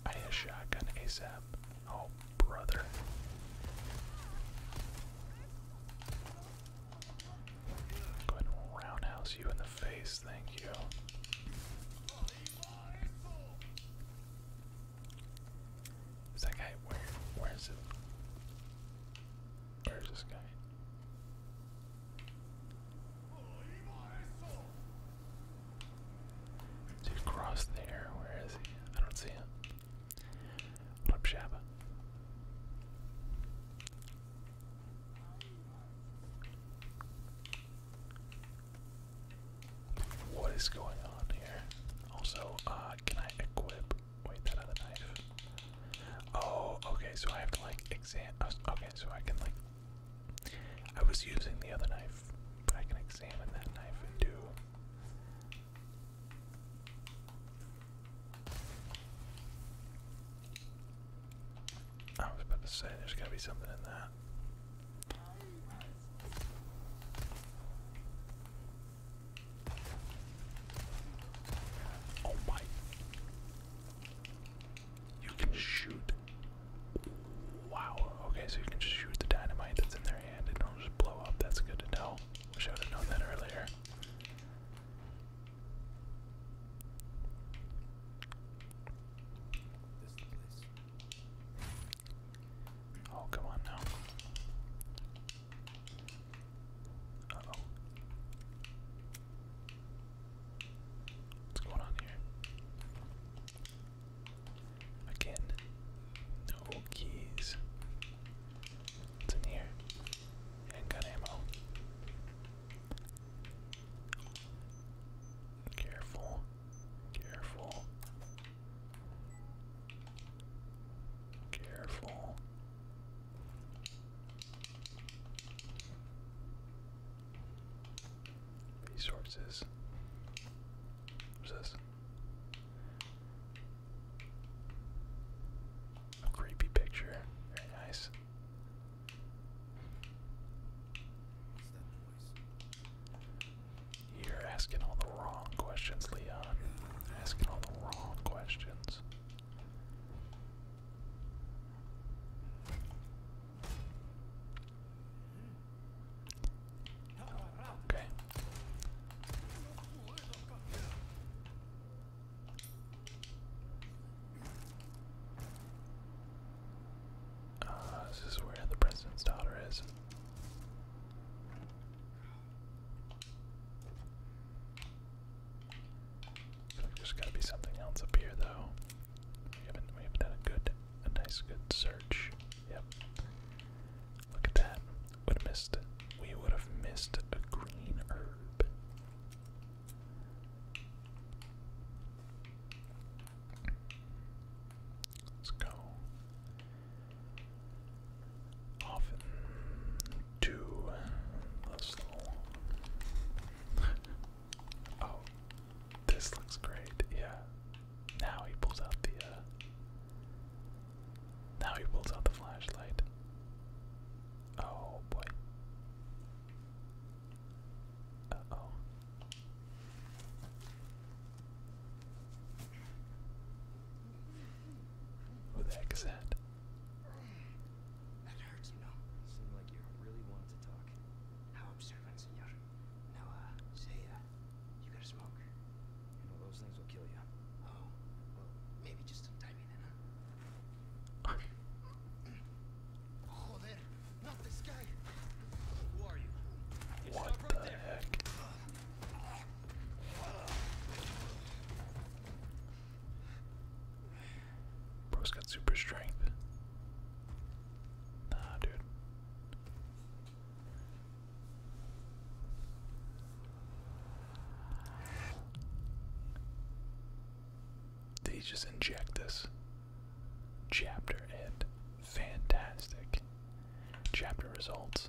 I need a shotgun ASAP. Oh, brother. Go ahead and roundhouse you in the face, thank you. Is that guy where where is it? Where is this guy? Is he across there? Where is he? I don't see him. up, Shabba? What is going on here? Also, uh, can I equip? Wait, that other knife. Oh, okay, so I have to like exam. Oh, okay, so I can like. I was using the other knife, but I can examine that knife and do. I was about to say there's gotta be something in that. Oh my. You can shoot. Wow. Okay, so you can just shoot the dynamite that's in their hand and it'll just blow up. That's good to know. Wish I would have known that earlier. Oh, come on now. Uh oh. What's going on here? Again, no keys. What's in here? Handgun ammo. Careful, careful. Careful. Resources. What's this? A creepy picture. Very nice. You're asking all the wrong questions, Leon. Asking all the wrong questions. Okay. Uh, this is where the president's daughter is there's gotta be something else up here though. We haven't done a good a nice good search. Yep. Look at that. Would have missed we would have missed a green herb. Let's go often too little. oh, this looks great. Yeah. Now he pulls out the. Uh, now he pulls out the flashlight. Oh boy. Uh oh. Who the heck is that? hurts, you know. seem like you really wanted to talk. How observant, senor. Now, uh, say, uh, you gotta smoke. You know, those things will kill you. Oh, well, maybe just a tiny then, huh? Joder, not this guy. Who are you? stop right there. Bro's got super strength. Nah, dude. Did just inject this? Chapter end. Fantastic. Chapter results.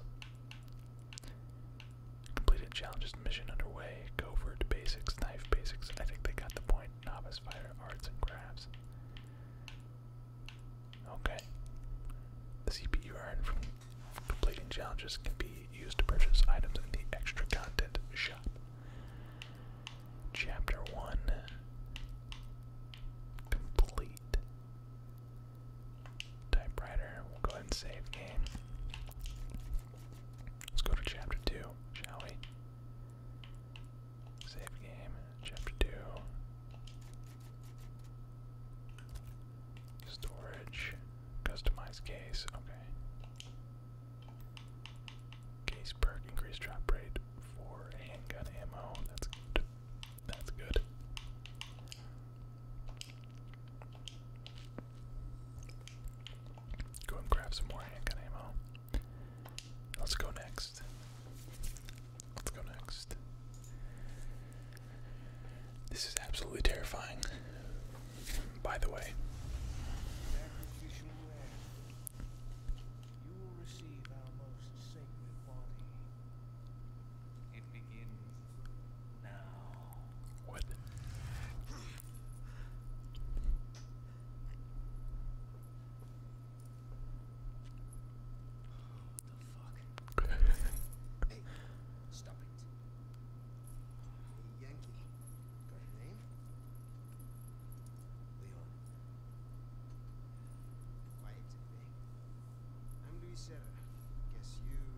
Completed challenges mission underway. Go for it, basics, knife basics. I think they got the point. Novice fighter, arts and crafts. Okay. The CP you from completing challenges can be used to purchase items in the extra content shop. Chapter 1 Complete typewriter. We'll go ahead and save game. Let's go to chapter 2, shall we? Save game, chapter 2. Storage, customize case, okay. Case perk, increased drop rate for handgun ammo, that's good. That's good. Go and grab some more handgun ammo. Let's go next. Let's go next. This is absolutely terrifying. By the way, what? hey, stop it. Yankee. Got your name? Leon. Quiet I'm Luis Guess you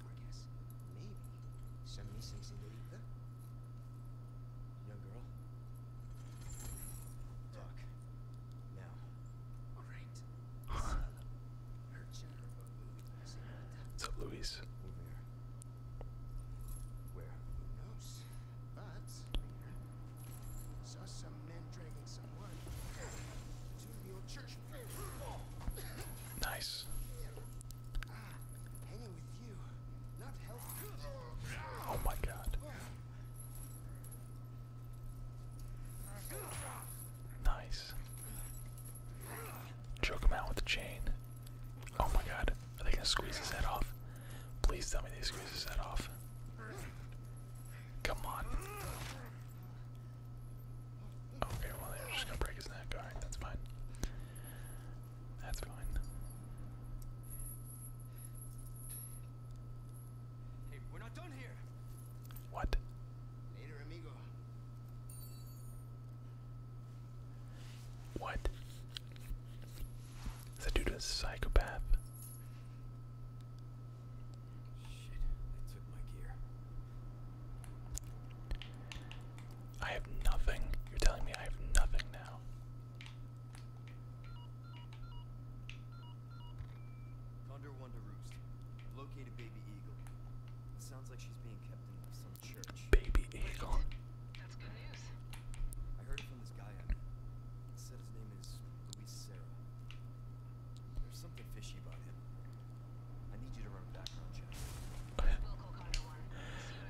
I guess. Maybe. Send some Young girl. Talk. Now. Alright. Her general senorita. Where? Who knows? But Saw some men dragging someone to the church. Nice. Oh my god. Nice. Choke him out with the chain. Oh my god. Are they gonna squeeze his head off? Please tell me they squeeze his head off. Come on. Okay, well they're just gonna break his neck. Alright, that's fine. That's fine. Hey, we're not done here. What? Later, amigo. What? Is that dude a psychopath? Shit, they took my gear. I have nothing. You're telling me I have nothing now. Thunder Wonder Roost. Located Baby Eagle. sounds like she's being kept in some church. Baby Eagle. That's good news. I heard from this guy. He said his name is Luis Serra. There's something fishy about him. I need you to run a background check.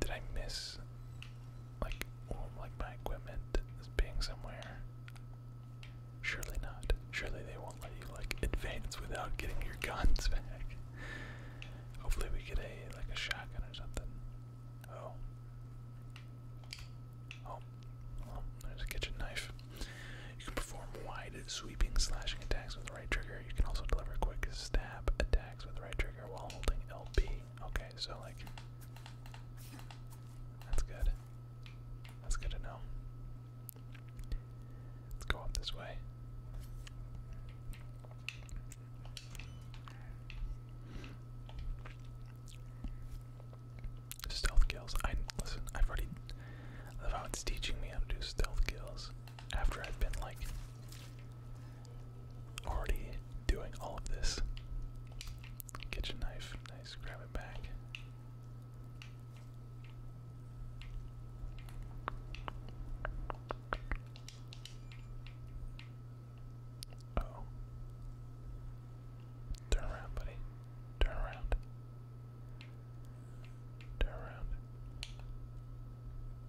Did I miss like like my equipment being somewhere? Surely not. Surely they won't let you like advance without getting your guns back. Hopefully we get a like a shotgun or something. Oh. oh. Oh. there's a kitchen knife. You can perform wide sweeping slashing attacks with the right trigger. You can also deliver quick stab attacks with the right trigger while holding LB feet. Okay, so like that's good. That's good to know. Let's go up this way. Stealth kills. I listen. I've already. I love how it's teaching me how to do stealth kills after I've been like already doing all of this. Kitchen knife, nice, grab it back. Turn around, buddy. Turn around. Turn around.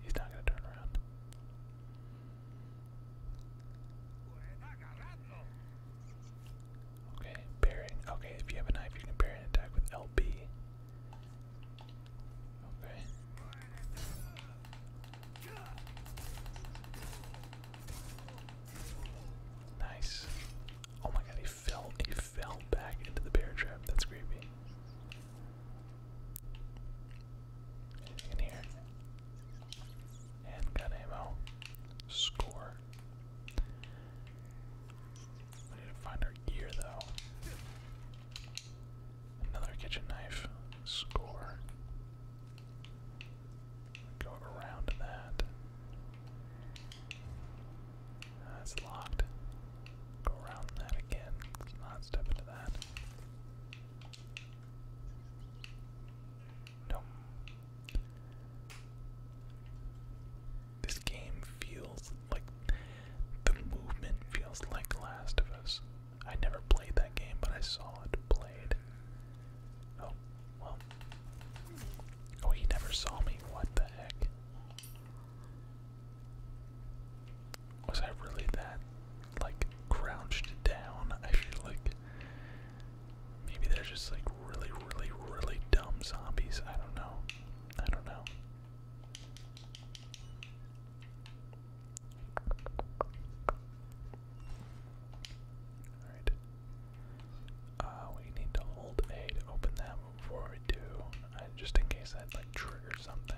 He's not gonna turn around. Okay, parrying. Okay, if you have a knife, you can parry an attack with LB. Okay. Nice. Oh my god, he fell. He fell back into the bear trap. That's creepy. In here. And ammo. Score. need to find our gear though. Another kitchen knife. Score. Go around that. That's locked. Go around that again. not step into that. No. This game feels like the movement feels like Last of Us. I never played that game, but I saw it played. Oh, well. Oh, he never saw me. What the heck? Was I really that, like, crouched down? I should like maybe they're just, like, really, really, really dumb zombies. I don't know. I don't know. Alright. Uh, we need to hold A to open that before we do. Uh, just in case that, like, triggers something.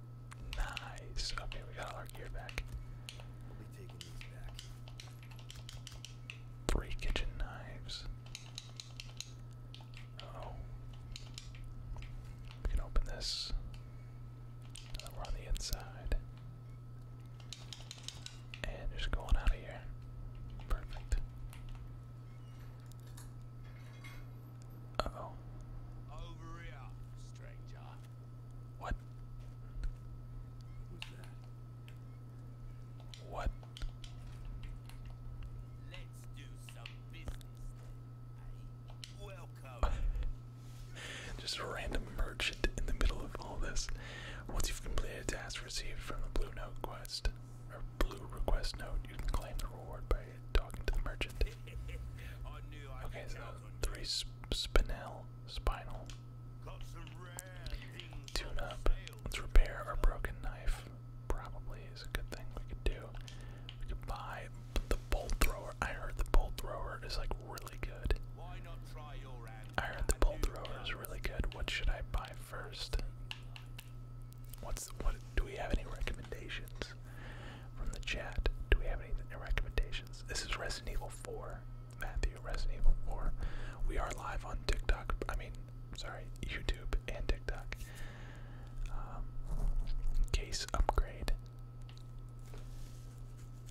Nice. Okay, we got all our gear back. we kitchen knives. oh. We can open this. Now we're on the inside. And just going out of here. Perfect. Uh oh. Over here, stranger. What? Who's that? What? Let's do some business. Eh? welcome. Just a random merchant in the middle of all this. Once you've completed a task received from the blue note quest or blue request note, you can claim the reward by talking to the merchant. Okay, so three sp spinel, spinal. Tune up. Let's repair our broken knife. Probably is a good thing we could do. We could buy the bolt thrower. I heard the bolt thrower is like really good. I heard the bolt thrower is really good. What should I buy first? What's what? Do we have any recommendations? From the chat, do we have any recommendations? This is Resident Evil 4. Matthew, Resident Evil 4. We are live on TikTok. I mean, sorry, YouTube and TikTok. Um, case upgrade.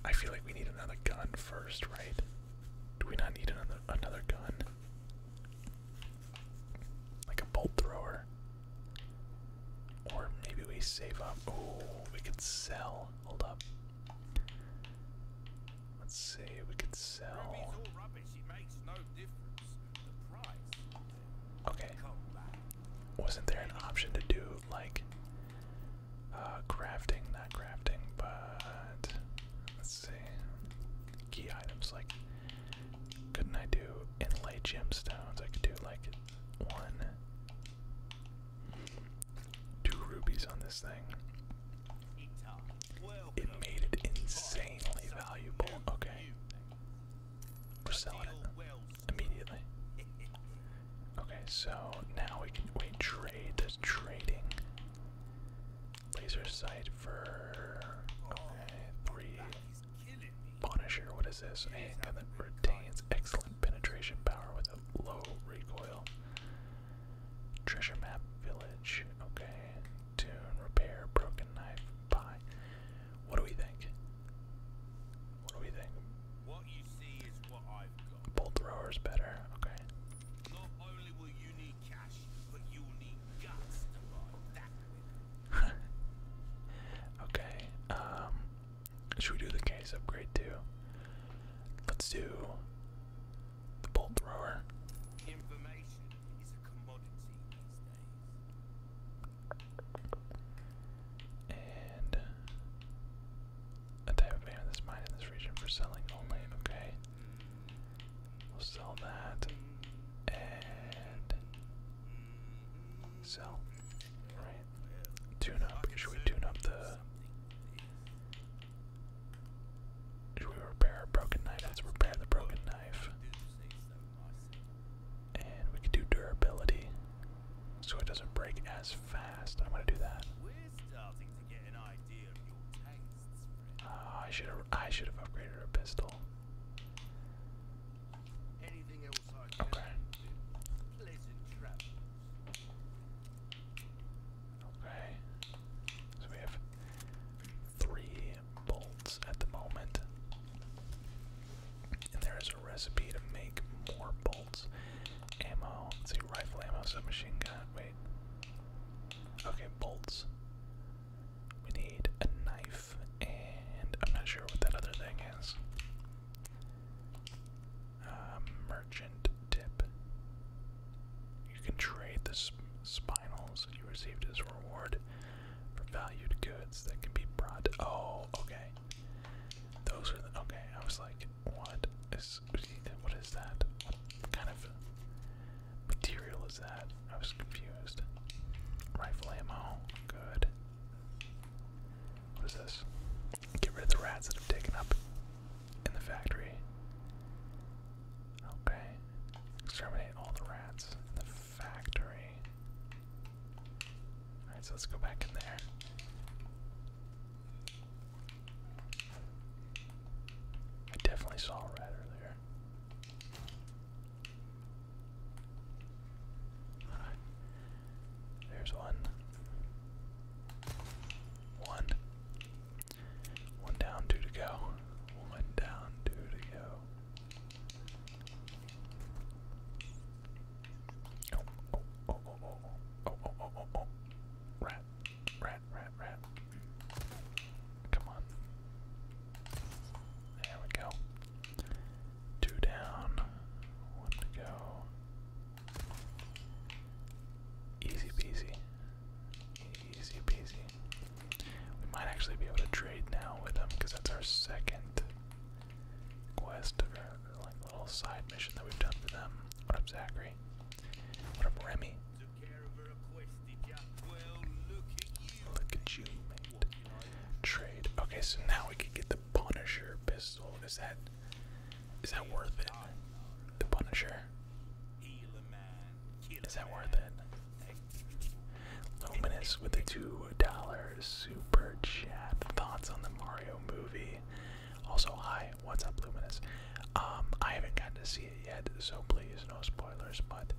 I feel like we need another gun first, right? Do we not need another another gun? Like a bolt thrower. Or maybe we save up. Oh, we could sell. Hold up. Let's see, we could sell. Okay. Wasn't there an option to do like uh crafting, not crafting, but let's see. Key items like couldn't I do inlay gemstones? I could do like one, two rubies on this thing. It made it insanely valuable. Okay. We're selling it immediately. Okay, so now we can wait trade. There's trading. Laser sight for okay, three Punisher, what is this? A handgun that retains excellent penetration power with a low recoil. Treasure map village. Okay. Tune, repair, broken knife, buy. What do we think? What do we think? What you see is what I've got. Bolt thrower's better, okay. Not only will you need cash, but you'll need guts to buy that. okay. Um should we do the case upgrade too? Let's do the bolt thrower. And a type of man that's mined in this region for selling only. Okay. We'll sell that and sell. Tune up. Should we tune up the. Should we repair our broken knife? Let's repair the broken knife. And we could do durability so it doesn't break as fast. I'm going to do that. Ah, I should I should have upgraded our pistol. Okay. Okay. So we have three bolts at the moment. And there is a recipe to make more bolts. Ammo. Let's see, rifle ammo, submachine gun. Wait. Okay, bolts. We need a knife, and I'm not sure what that other thing is. Uh, merchant tip. You can trade the spinels spinals you received as reward for valued goods that can be brought. Oh, okay. Those are the. Okay, I was like, what is. What is that? What kind of material is that? I was confused. Rifle ammo. Good. What is this? Get rid of the rats that have taken up in the factory. Okay. Exterminate all the rats in the factory. Alright, so let's go back in there. I definitely saw a rat earlier. Alright. There's one. down, two to go. One down, two to go. Oh, oh, oh, oh, oh, oh, oh, oh, oh, oh, oh. Rat, rat, rat, rat. Come on. There we go. Two down, one to go. Easy peasy. Easy peasy. We might actually be able to trade now with them because that's our second quest or like little side mission that we've done for them. What up, Zachary? What up, Remy? Look at you, mate. Trade. Okay, so now we can get the Punisher pistol. Is that is that worth it? The Punisher. Is that worth it? Luminous with the two dollar super chat. Thoughts on the Mario movie? Also, hi, what's up, Luminus? Um, I haven't gotten to see it yet, so please no spoilers. But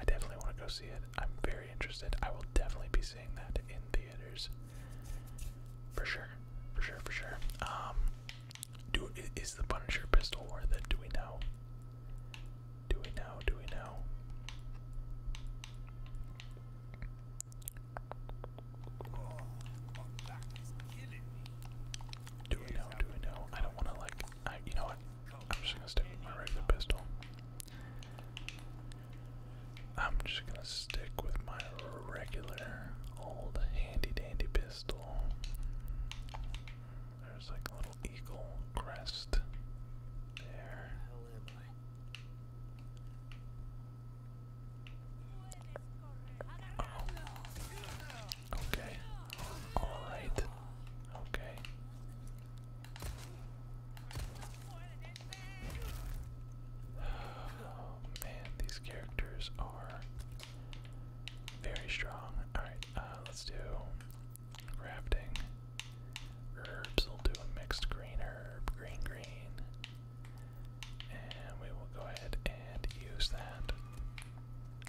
I definitely want to go see it. I'm very interested. I will definitely be seeing that in theaters. For sure, for sure, for sure. Um, do is the Punisher pistol worth it? Do we know? Do we know? Do we know? Do we know? Do we know? I don't want to like. I, you know what? I'm just gonna stick with my regular pistol. I'm just gonna stick with my regular old handy dandy pistol. There's like a little eagle crest there. Oh. Okay. Alright. Okay. Oh man, these characters are very strong. Alright, uh, let's do crafting. Herbs, we'll do a mixed green herb, green green. And we will go ahead and use that.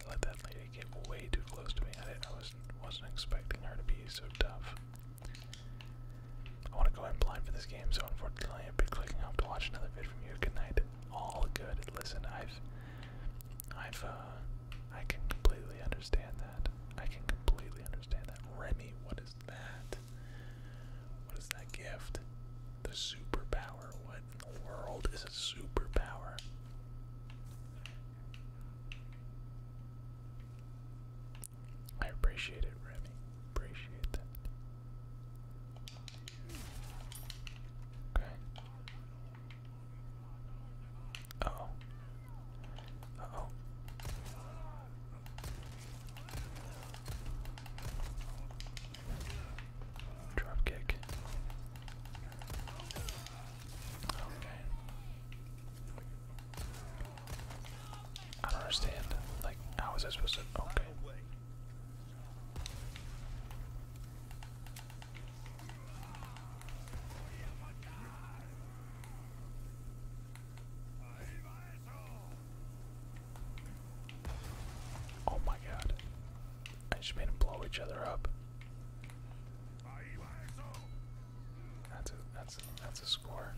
Let that lady get way too close to me. I, I wasn't, wasn't expecting her to be so tough. I want to go ahead and blind for this game, so unfortunately I've been clicking up to watch another vid from you. Good night. All good. Listen, I've, I've, uh, I can completely understand that. I can completely understand that. Remy, what is that? What is that gift? The superpower. What in the world is a superpower? I appreciate it, Remy. Appreciate that. Okay. oh. oh. Drop kick. Okay. I don't understand. Like, how is I supposed to? Okay. Oh my god. I just made them blow each other up. That's a that's that's a score.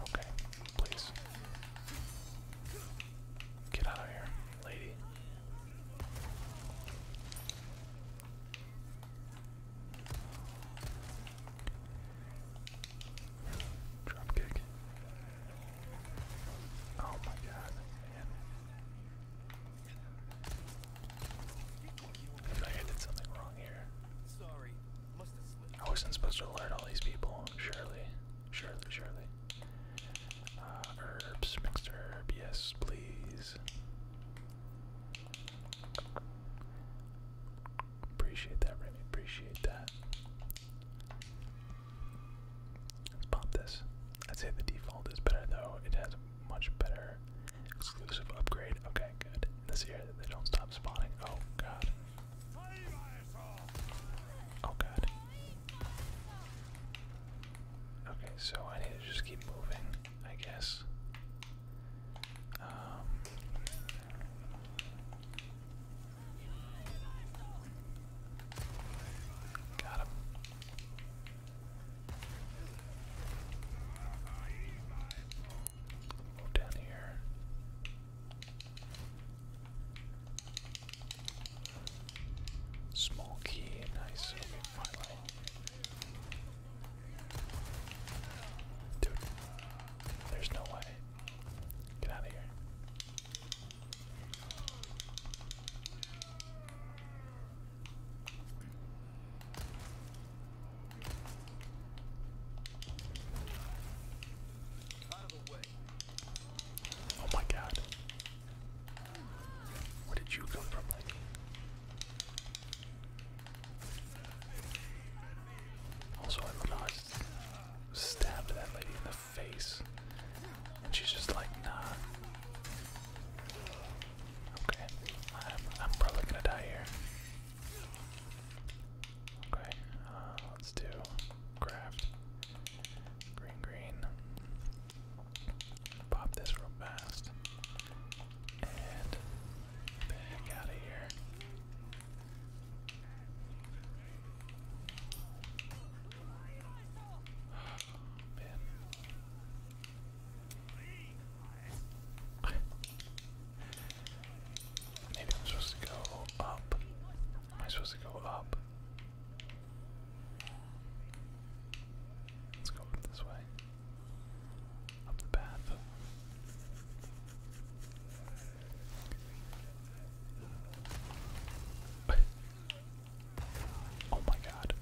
Okay, please. Get out of here, lady. Drop Oh my god, man. I I did something wrong here. Sorry, I wasn't supposed to alert all these people, surely. Surely, surely. Uh, herbs, mixed herb, yes, please. Appreciate that, Remy, appreciate that. Let's pop this. I'd say the default is better though, it has much better exclusive upgrade. Okay, good. This year they don't stop spawning. Oh god. Oh god. Okay, so I need to just keep moving, I guess. Um, got him. Move down here. Small key, nice. Okay, finally. Dude, there's no way. Get out of here. Oh my god. Where did you come from, Lenny? Also, I do stabbed that lady in the face. And she's just like, nah. Okay, I'm, I'm probably gonna die here. Okay, uh, let's do craft. Green, green. Pop this real fast. And back out of here. Man. Maybe I'm supposed to go up. Am I supposed to go up? Let's go this way. Up the path. oh my god.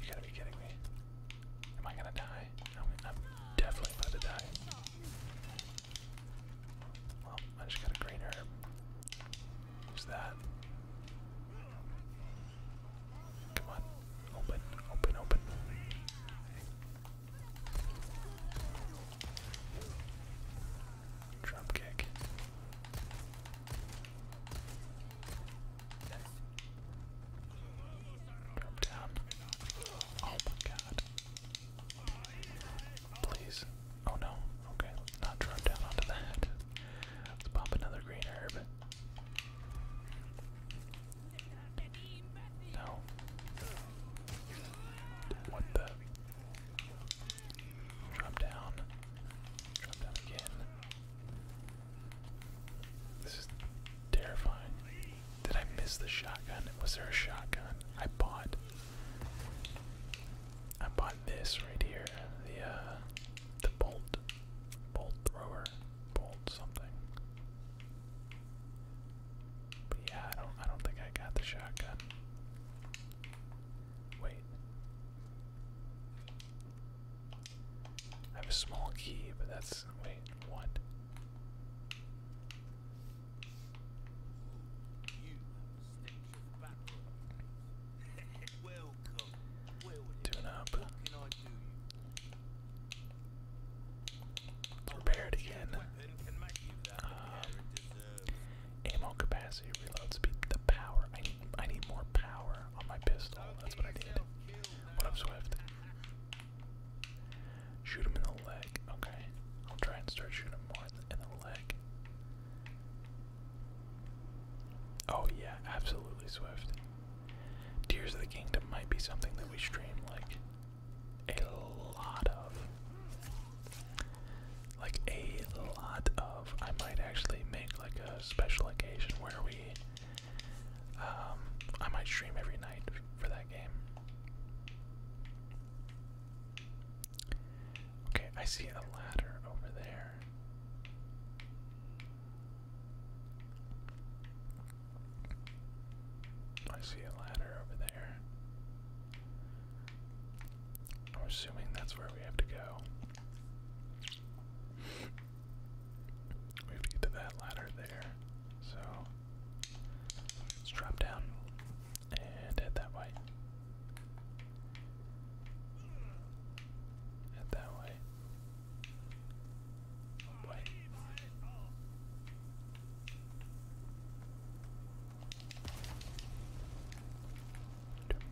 You gotta be kidding me. Am I gonna die? I'm, definitely about to die. Well, I just got a green herb. that. Come on. Open, open, open. Drop Oh my god. Please. Oh no. Okay, let's not drop down onto that. Let's pop another green herb. No. What the? Drop down. Drop down again. This is terrifying. Did I miss the shotgun? Was there a shotgun? I bought I bought this right here. The uh the bolt. Bolt thrower. Bolt something. But yeah, I don't I don't think I got the shotgun. Wait. I have a small key, but that's. Wait, what? Tune up. Repair it again. Uh, ammo capacity, reload speed, the power. I need, I need more power on my pistol. That's what I did. What up, Swift? Shoot him in the leg. Okay. I'll try and start shooting him more in the leg. Oh, yeah, absolutely, Swift. Tears of the Kingdom might be something that we stream like a lot of. Like a a lot of. I might actually make like a special occasion where we. Um, I might stream every night for that game. Okay, I see a ladder over there. I see a ladder over there. I'm assuming that's where we have to go. We have to get to that ladder there. So let's drop down and head that way. Head that way. Wait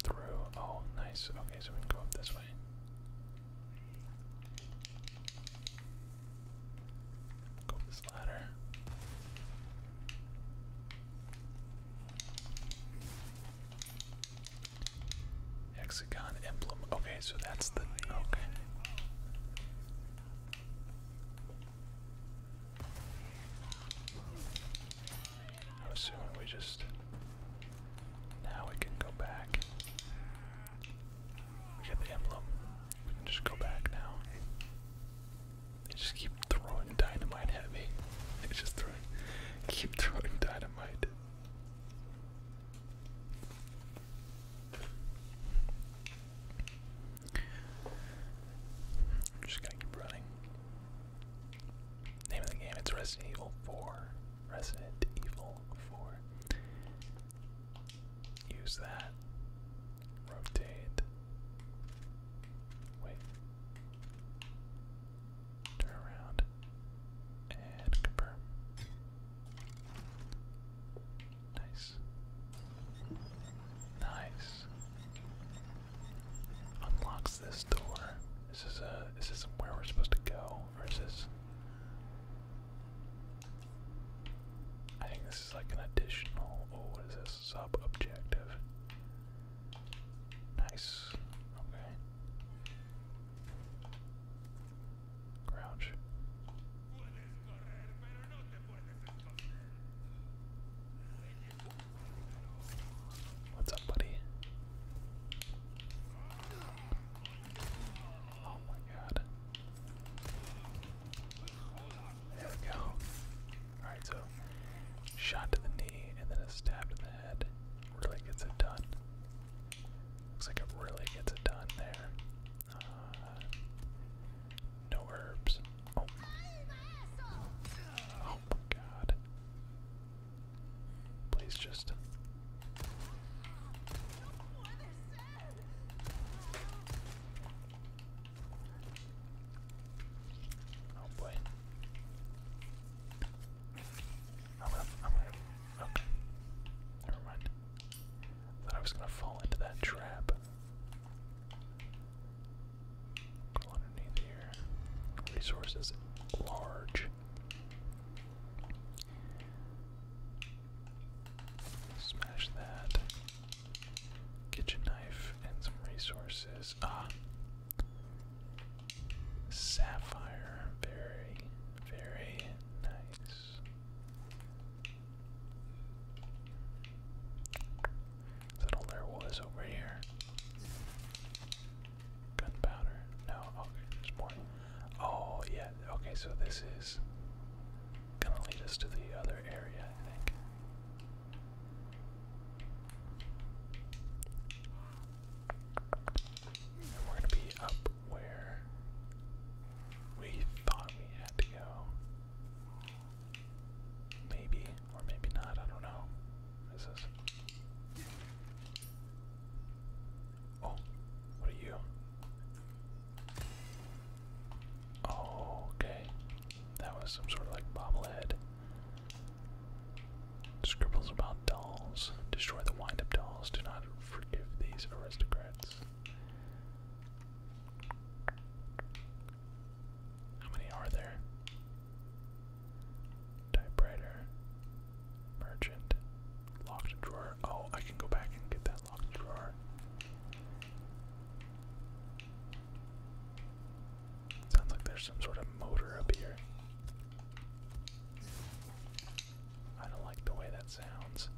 through. Oh, nice. Okay, so we can go up this way. Go up this ladder. Hexagon emblem. Okay, so that's the. Okay. I'm assuming we just. Now we can go back. We got the emblem. We can just go back now. They just keep throwing dynamite at me. They just keep throwing dynamite. just gonna keep running. Name of the game, it's Resident Evil 4. Resident Evil 4. Use that. Rotate. Wait. Turn around. And confirm. Nice. Nice. Unlocks this door. Is this a is this where we're supposed to go? versus. I think this is like an additional. Oh, what is this? Sub objective. Nice. Okay. Crouch. What's up, buddy? Oh my god. There we go. Alright, so shot to the knee and then a stab to the head. Really gets it done. Looks like it really gets it done there. Uh, no herbs. Oh, oh my god. Please just. Oh boy. Oh, I'm gonna, I'm gonna, Never mind. Thought I was gonna fall into that trap. Go underneath here. Resources large. Smash that. Kitchen knife and some resources. Ah. Sapphire. Very, very nice. Is that all there was over here? Gunpowder. No, okay, there's more. Oh, yeah, okay, so this is gonna lead us to the other area, I think. we're gonna be up where we thought we had to go. Maybe, or maybe not, I don't know. This is Oh, what are you? Oh, okay. That was some sort of like bobblehead. Scribbles about dolls. Destroy the wind up dolls. Do not forgive these aristocrats. How many are there? Typewriter. Merchant. Locked drawer. Oh, I can go back and get that locked drawer. Sounds like there's some sort of motor up here. I don't like the way that sounds.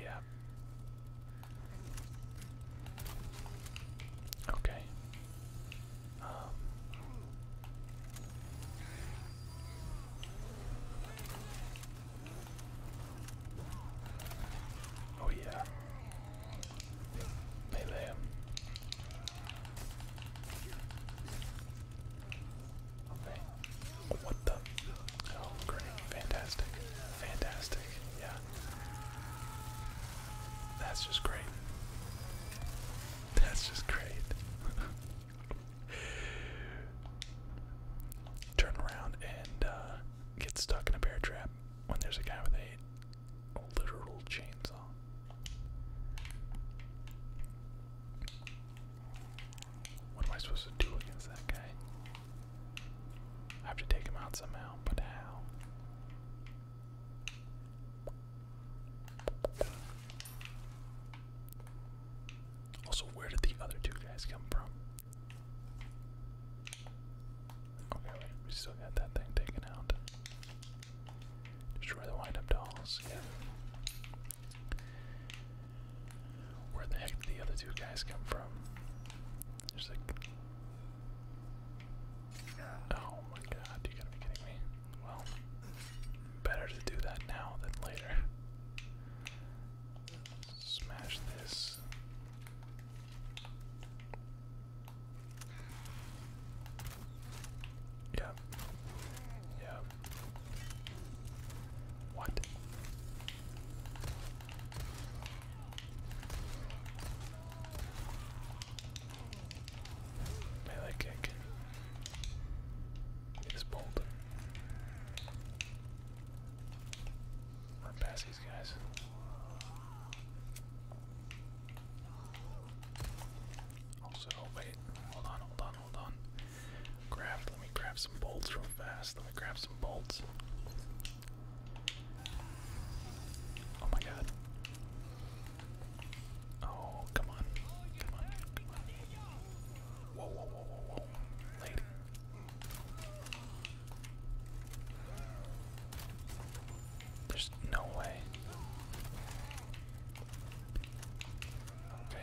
Yeah. Okay. Um, oh yeah, melee. What the? Oh, great! Fantastic! Fantastic! Yeah. That's just great. That's just great. Turn around and uh, get stuck in a bear trap when there's a guy with a literal chainsaw. What am I supposed to do against that guy? I have to take him out somehow, but how? Also, where did the other two guys come from? Okay, we still got that thing taken out. Destroy the wind up dolls. Where the heck did the other two guys come from? There's like Oh my god, you gotta be kidding me. Well, better to do that now than later. Smash this. Yep. Yep. What? Melee kick. Is bold. Run past these guys. Also, oh, wait, hold on, hold on, hold on. Craft, let me craft some bolts real fast. Let me craft some bolts. Oh my god. Oh, come on. Come on. Come on. Whoa, whoa, whoa, whoa, whoa. Lady. There's no way. Okay.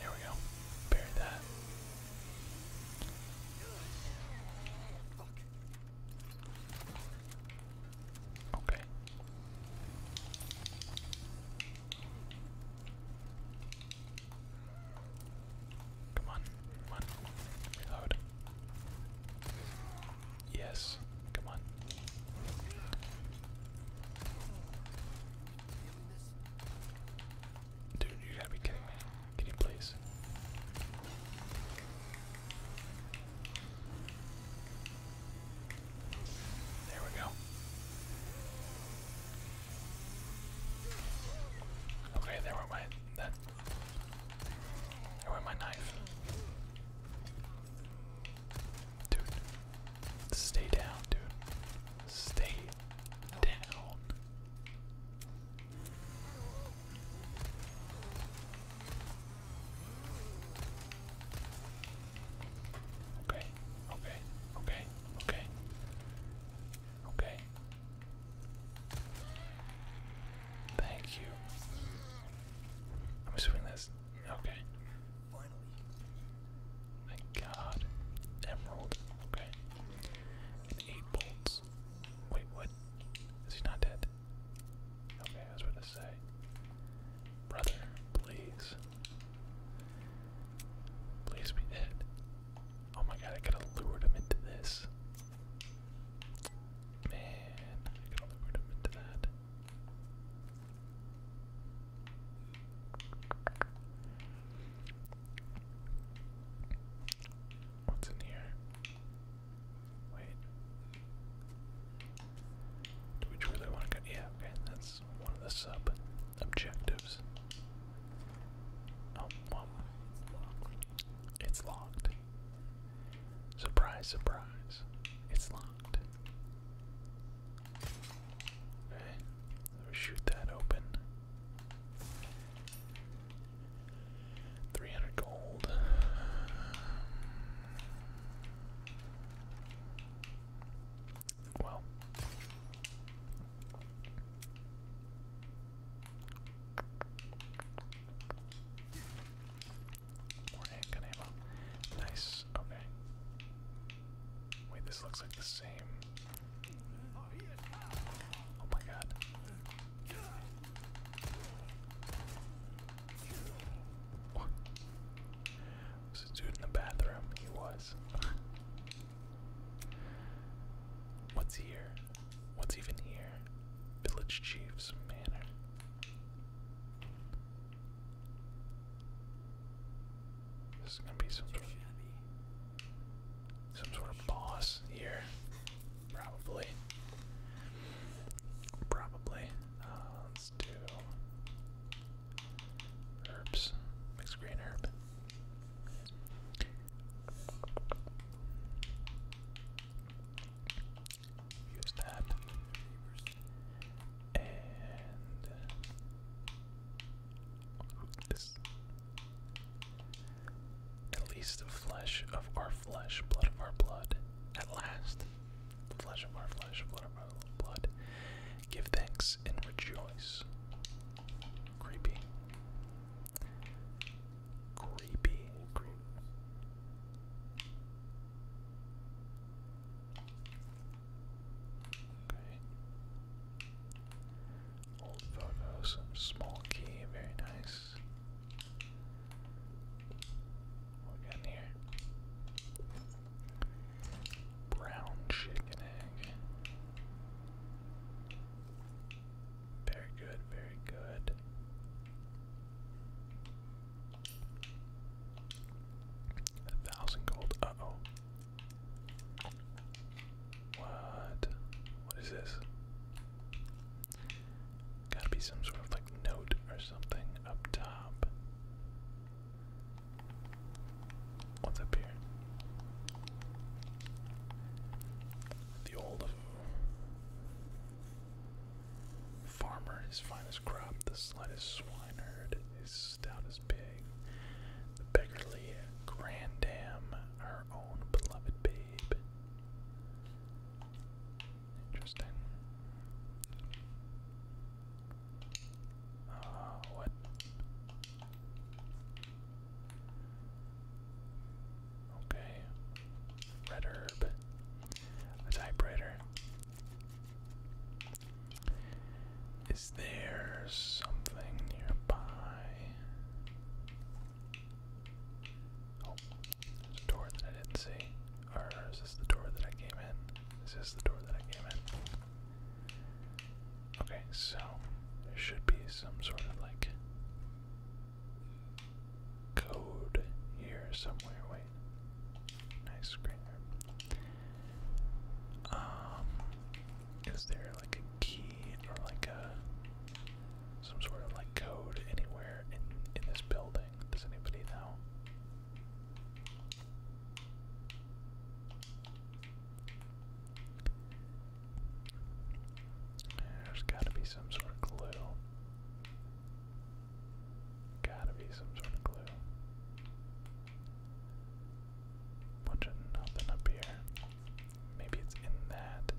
There we go. Bury that. Okay. Come on, come on. Yes, come on. Dude, you gotta be kidding me. Can you please? There we go. Okay, there went my that there went my knife. Dude. Stay down, dude. Stay down. Okay, okay, okay, okay, okay. Thank you. I'm assuming that's okay. Thank God. Emerald. Okay eight bolts. Wait, what? Is he not dead? Okay, I was about to say. Brother, please. Please be dead. Oh my god, I could have lured him into this. Man, I could have lured him into that. What's in here? Wait. Do we truly want to Yeah, okay, that's one of the sub objectives. Oh, it's locked. Surprise, surprise. It's locked. Okay, so shoot that open. 300 gold. Well. More handgun Nice. Okay. Wait, this looks like the same Oh my god. Was a dude in the bathroom? He was. What's here? What's even here? Village Chief's Manor. This is gonna be some sort some sort of boss here. Probably. Probably. Uh, let's do herbs. Mixed green herb. Use that. And this. At least the flesh of our flesh, blood of our blood. At last, the flesh of our flesh, blood of our blood. Give thanks and rejoice. Creepy. Creepy. Old photos, small key, very nice. What we got here? Brown chicken egg. Very good, very good. A thousand gold. Uh oh. What? What is this? Gotta be some sort of like note or something up top. What's up here? The old uh, farmer, his finest crop, the slightest swineherd, his stoutest pig, the beggarly grandam, our own beloved babe, Interesting. Uh, what? Okay. Red herb. A typewriter. Is there something nearby? Oh, there's a door that I didn't see. Or is this the door that I came in? Is this the door that I came in? Okay, so there should be some sort of like code here somewhere. Wait. Nice screen Um, is there like a key or like a some sort of like code anywhere in in this building? Does anybody know? There's gotta be some sort of clue. Gotta be some sort of clue. Bunch of nothing up here. Maybe it's in that.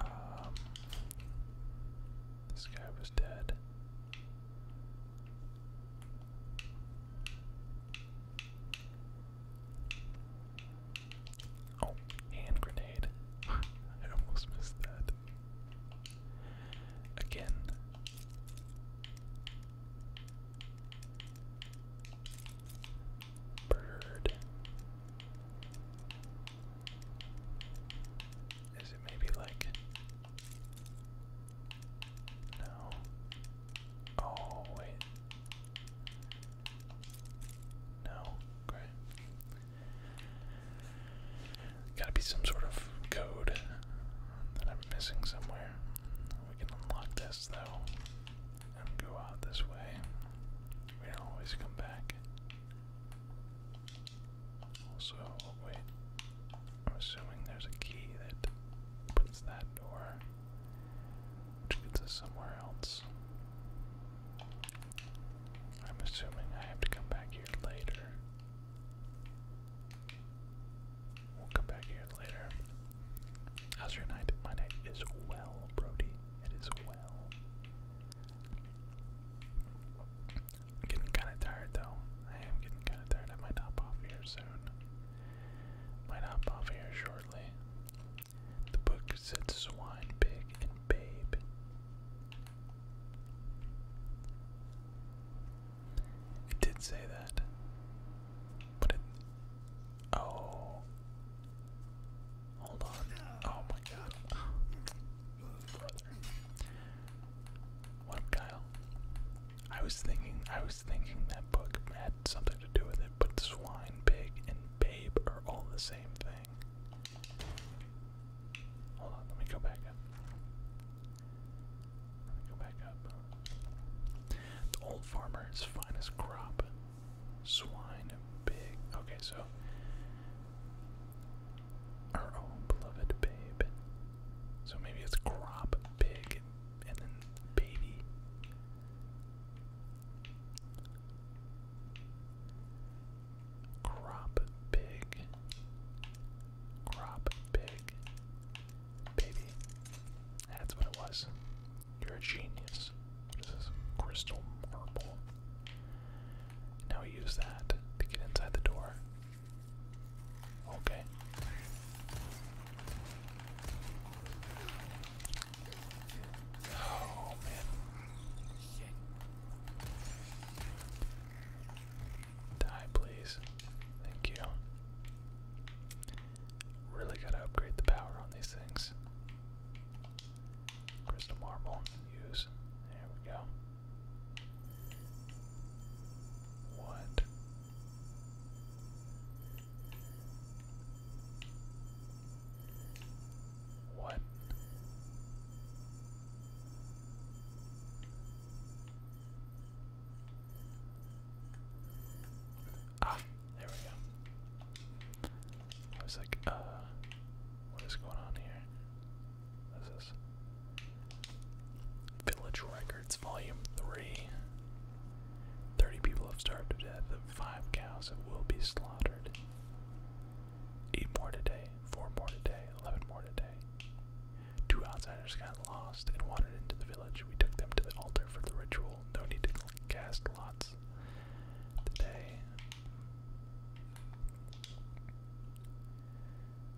Um, this guy was dead. Oh, hand grenade. I almost missed that again. Bird. Is it maybe like. No. Oh, wait. No. Great. Gotta be some sort of code that I'm missing somewhere. We can unlock this though and go out this way. We always come back. Also, wait. I'm assuming there's a key that opens that door, which gets us somewhere else. I'm assuming I have to come back here later. We'll come back here later. How's your night? My night is well, Brody. It is well. I'm getting kind of tired though. I am getting kind of tired. I might top off here soon. Might top off here shortly. The book said swine, pig, and babe. It did say that. But it. Oh. Hold on. Oh my god. What Kyle? I was thinking I was thinking that book had something to do with it, but swine, pig, and babe are all the same thing. Hold on, let me go back go back up. The old farmer's finest crop. Swine pig. Okay, so our own beloved babe. So maybe it's crop pig and then baby. Crop pig. Crop pig. Baby. That's what it was. You're a genius. What is this? Crystal marble. Now we use that to get inside the door. Okay. Oh man. Die, please. Thank you. Really gotta upgrade the power on these things. Crystal marble, use. There we go. What? What? Ah, there we go. I was like, uh, what is going on here? This is Village Records, Volume 3. 30 people have starved to death, and 5 cows will be slaughtered. 8 more today, 4 more today, 11 more today. Two outsiders got lost and wandered into the village. We took them to the altar for the ritual. No need to cast lots today.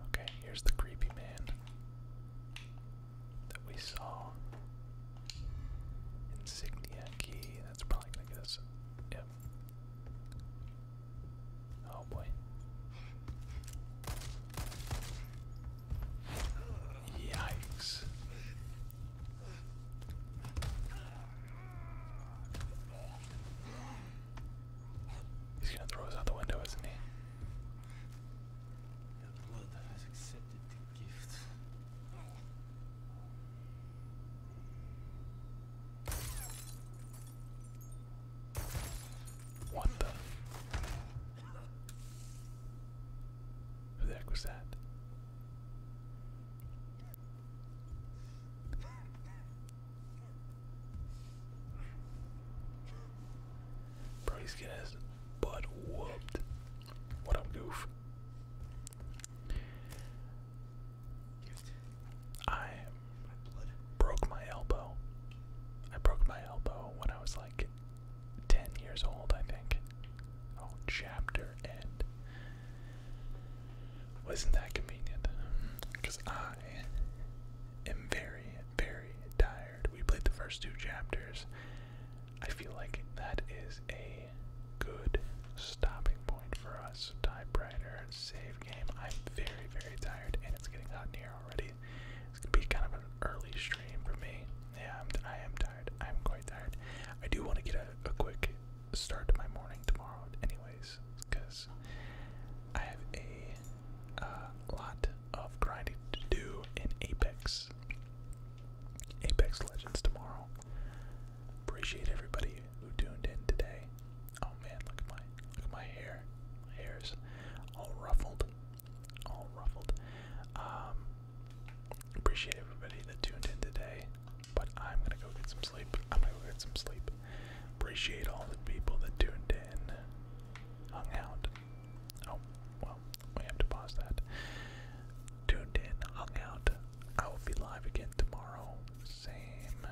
Okay, here's the creepy man that we saw. Insignia key. That's probably gonna get us. Yep. Oh boy. Yikes. He's gonna throw us out the window, isn't he? What the? Who the heck was that? Bro, he's getting his butt whooped. What a goof. I broke my elbow. I broke my elbow when I was like 10 years old, I think. Oh, chapter end. Wasn't that convenient? Because I am very, very tired. We played the first two chapters. I feel like that is a good stopping point for us. Typewriter, save game. I'm very, very tired, and it's getting hot here already. It's gonna be kind of an early stream for me. Yeah, I'm, tired. I'm quite tired. I do want to get a, quick start to my morning tomorrow, anyways, because I have a uh, lot of grinding to do in Apex. Apex Legends tomorrow. Appreciate everybody who tuned in today. Oh man, look at my look at my hair. My hair's all ruffled all ruffled. Um, appreciate everybody that tuned in today, but I'm gonna go get some sleep. I'm gonna go get some sleep. Appreciate all the people that tuned in, hung out. Oh, well, we have to pause that. Tuned in, hung out. I will be live again tomorrow. Same,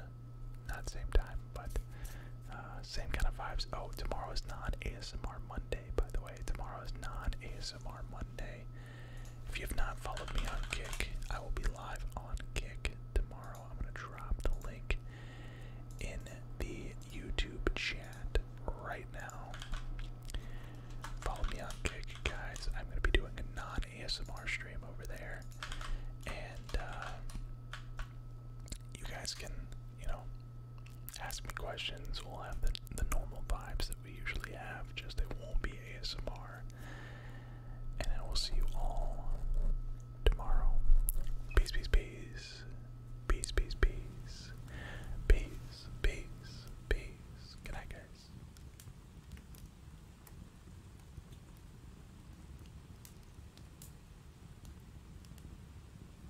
not same time, but uh, same kind of vibes. Oh, tomorrow is non-ASMR Monday, by the way. Tomorrow is non-ASMR Monday. If you have not followed me on Kick, I will be live on Kick tomorrow. I'm going to drop the link in the YouTube chat right now. Follow me on Kick, guys. I'm going to be doing a non-ASMR stream over there. And, uh, you guys can, you know, ask me questions. We'll have the, the normal vibes that we usually have, just it won't be ASMR. And I will see you all tomorrow. Peace, peace, peace. Peace, peace, peace. Peace, peace, peace. Good night, guys.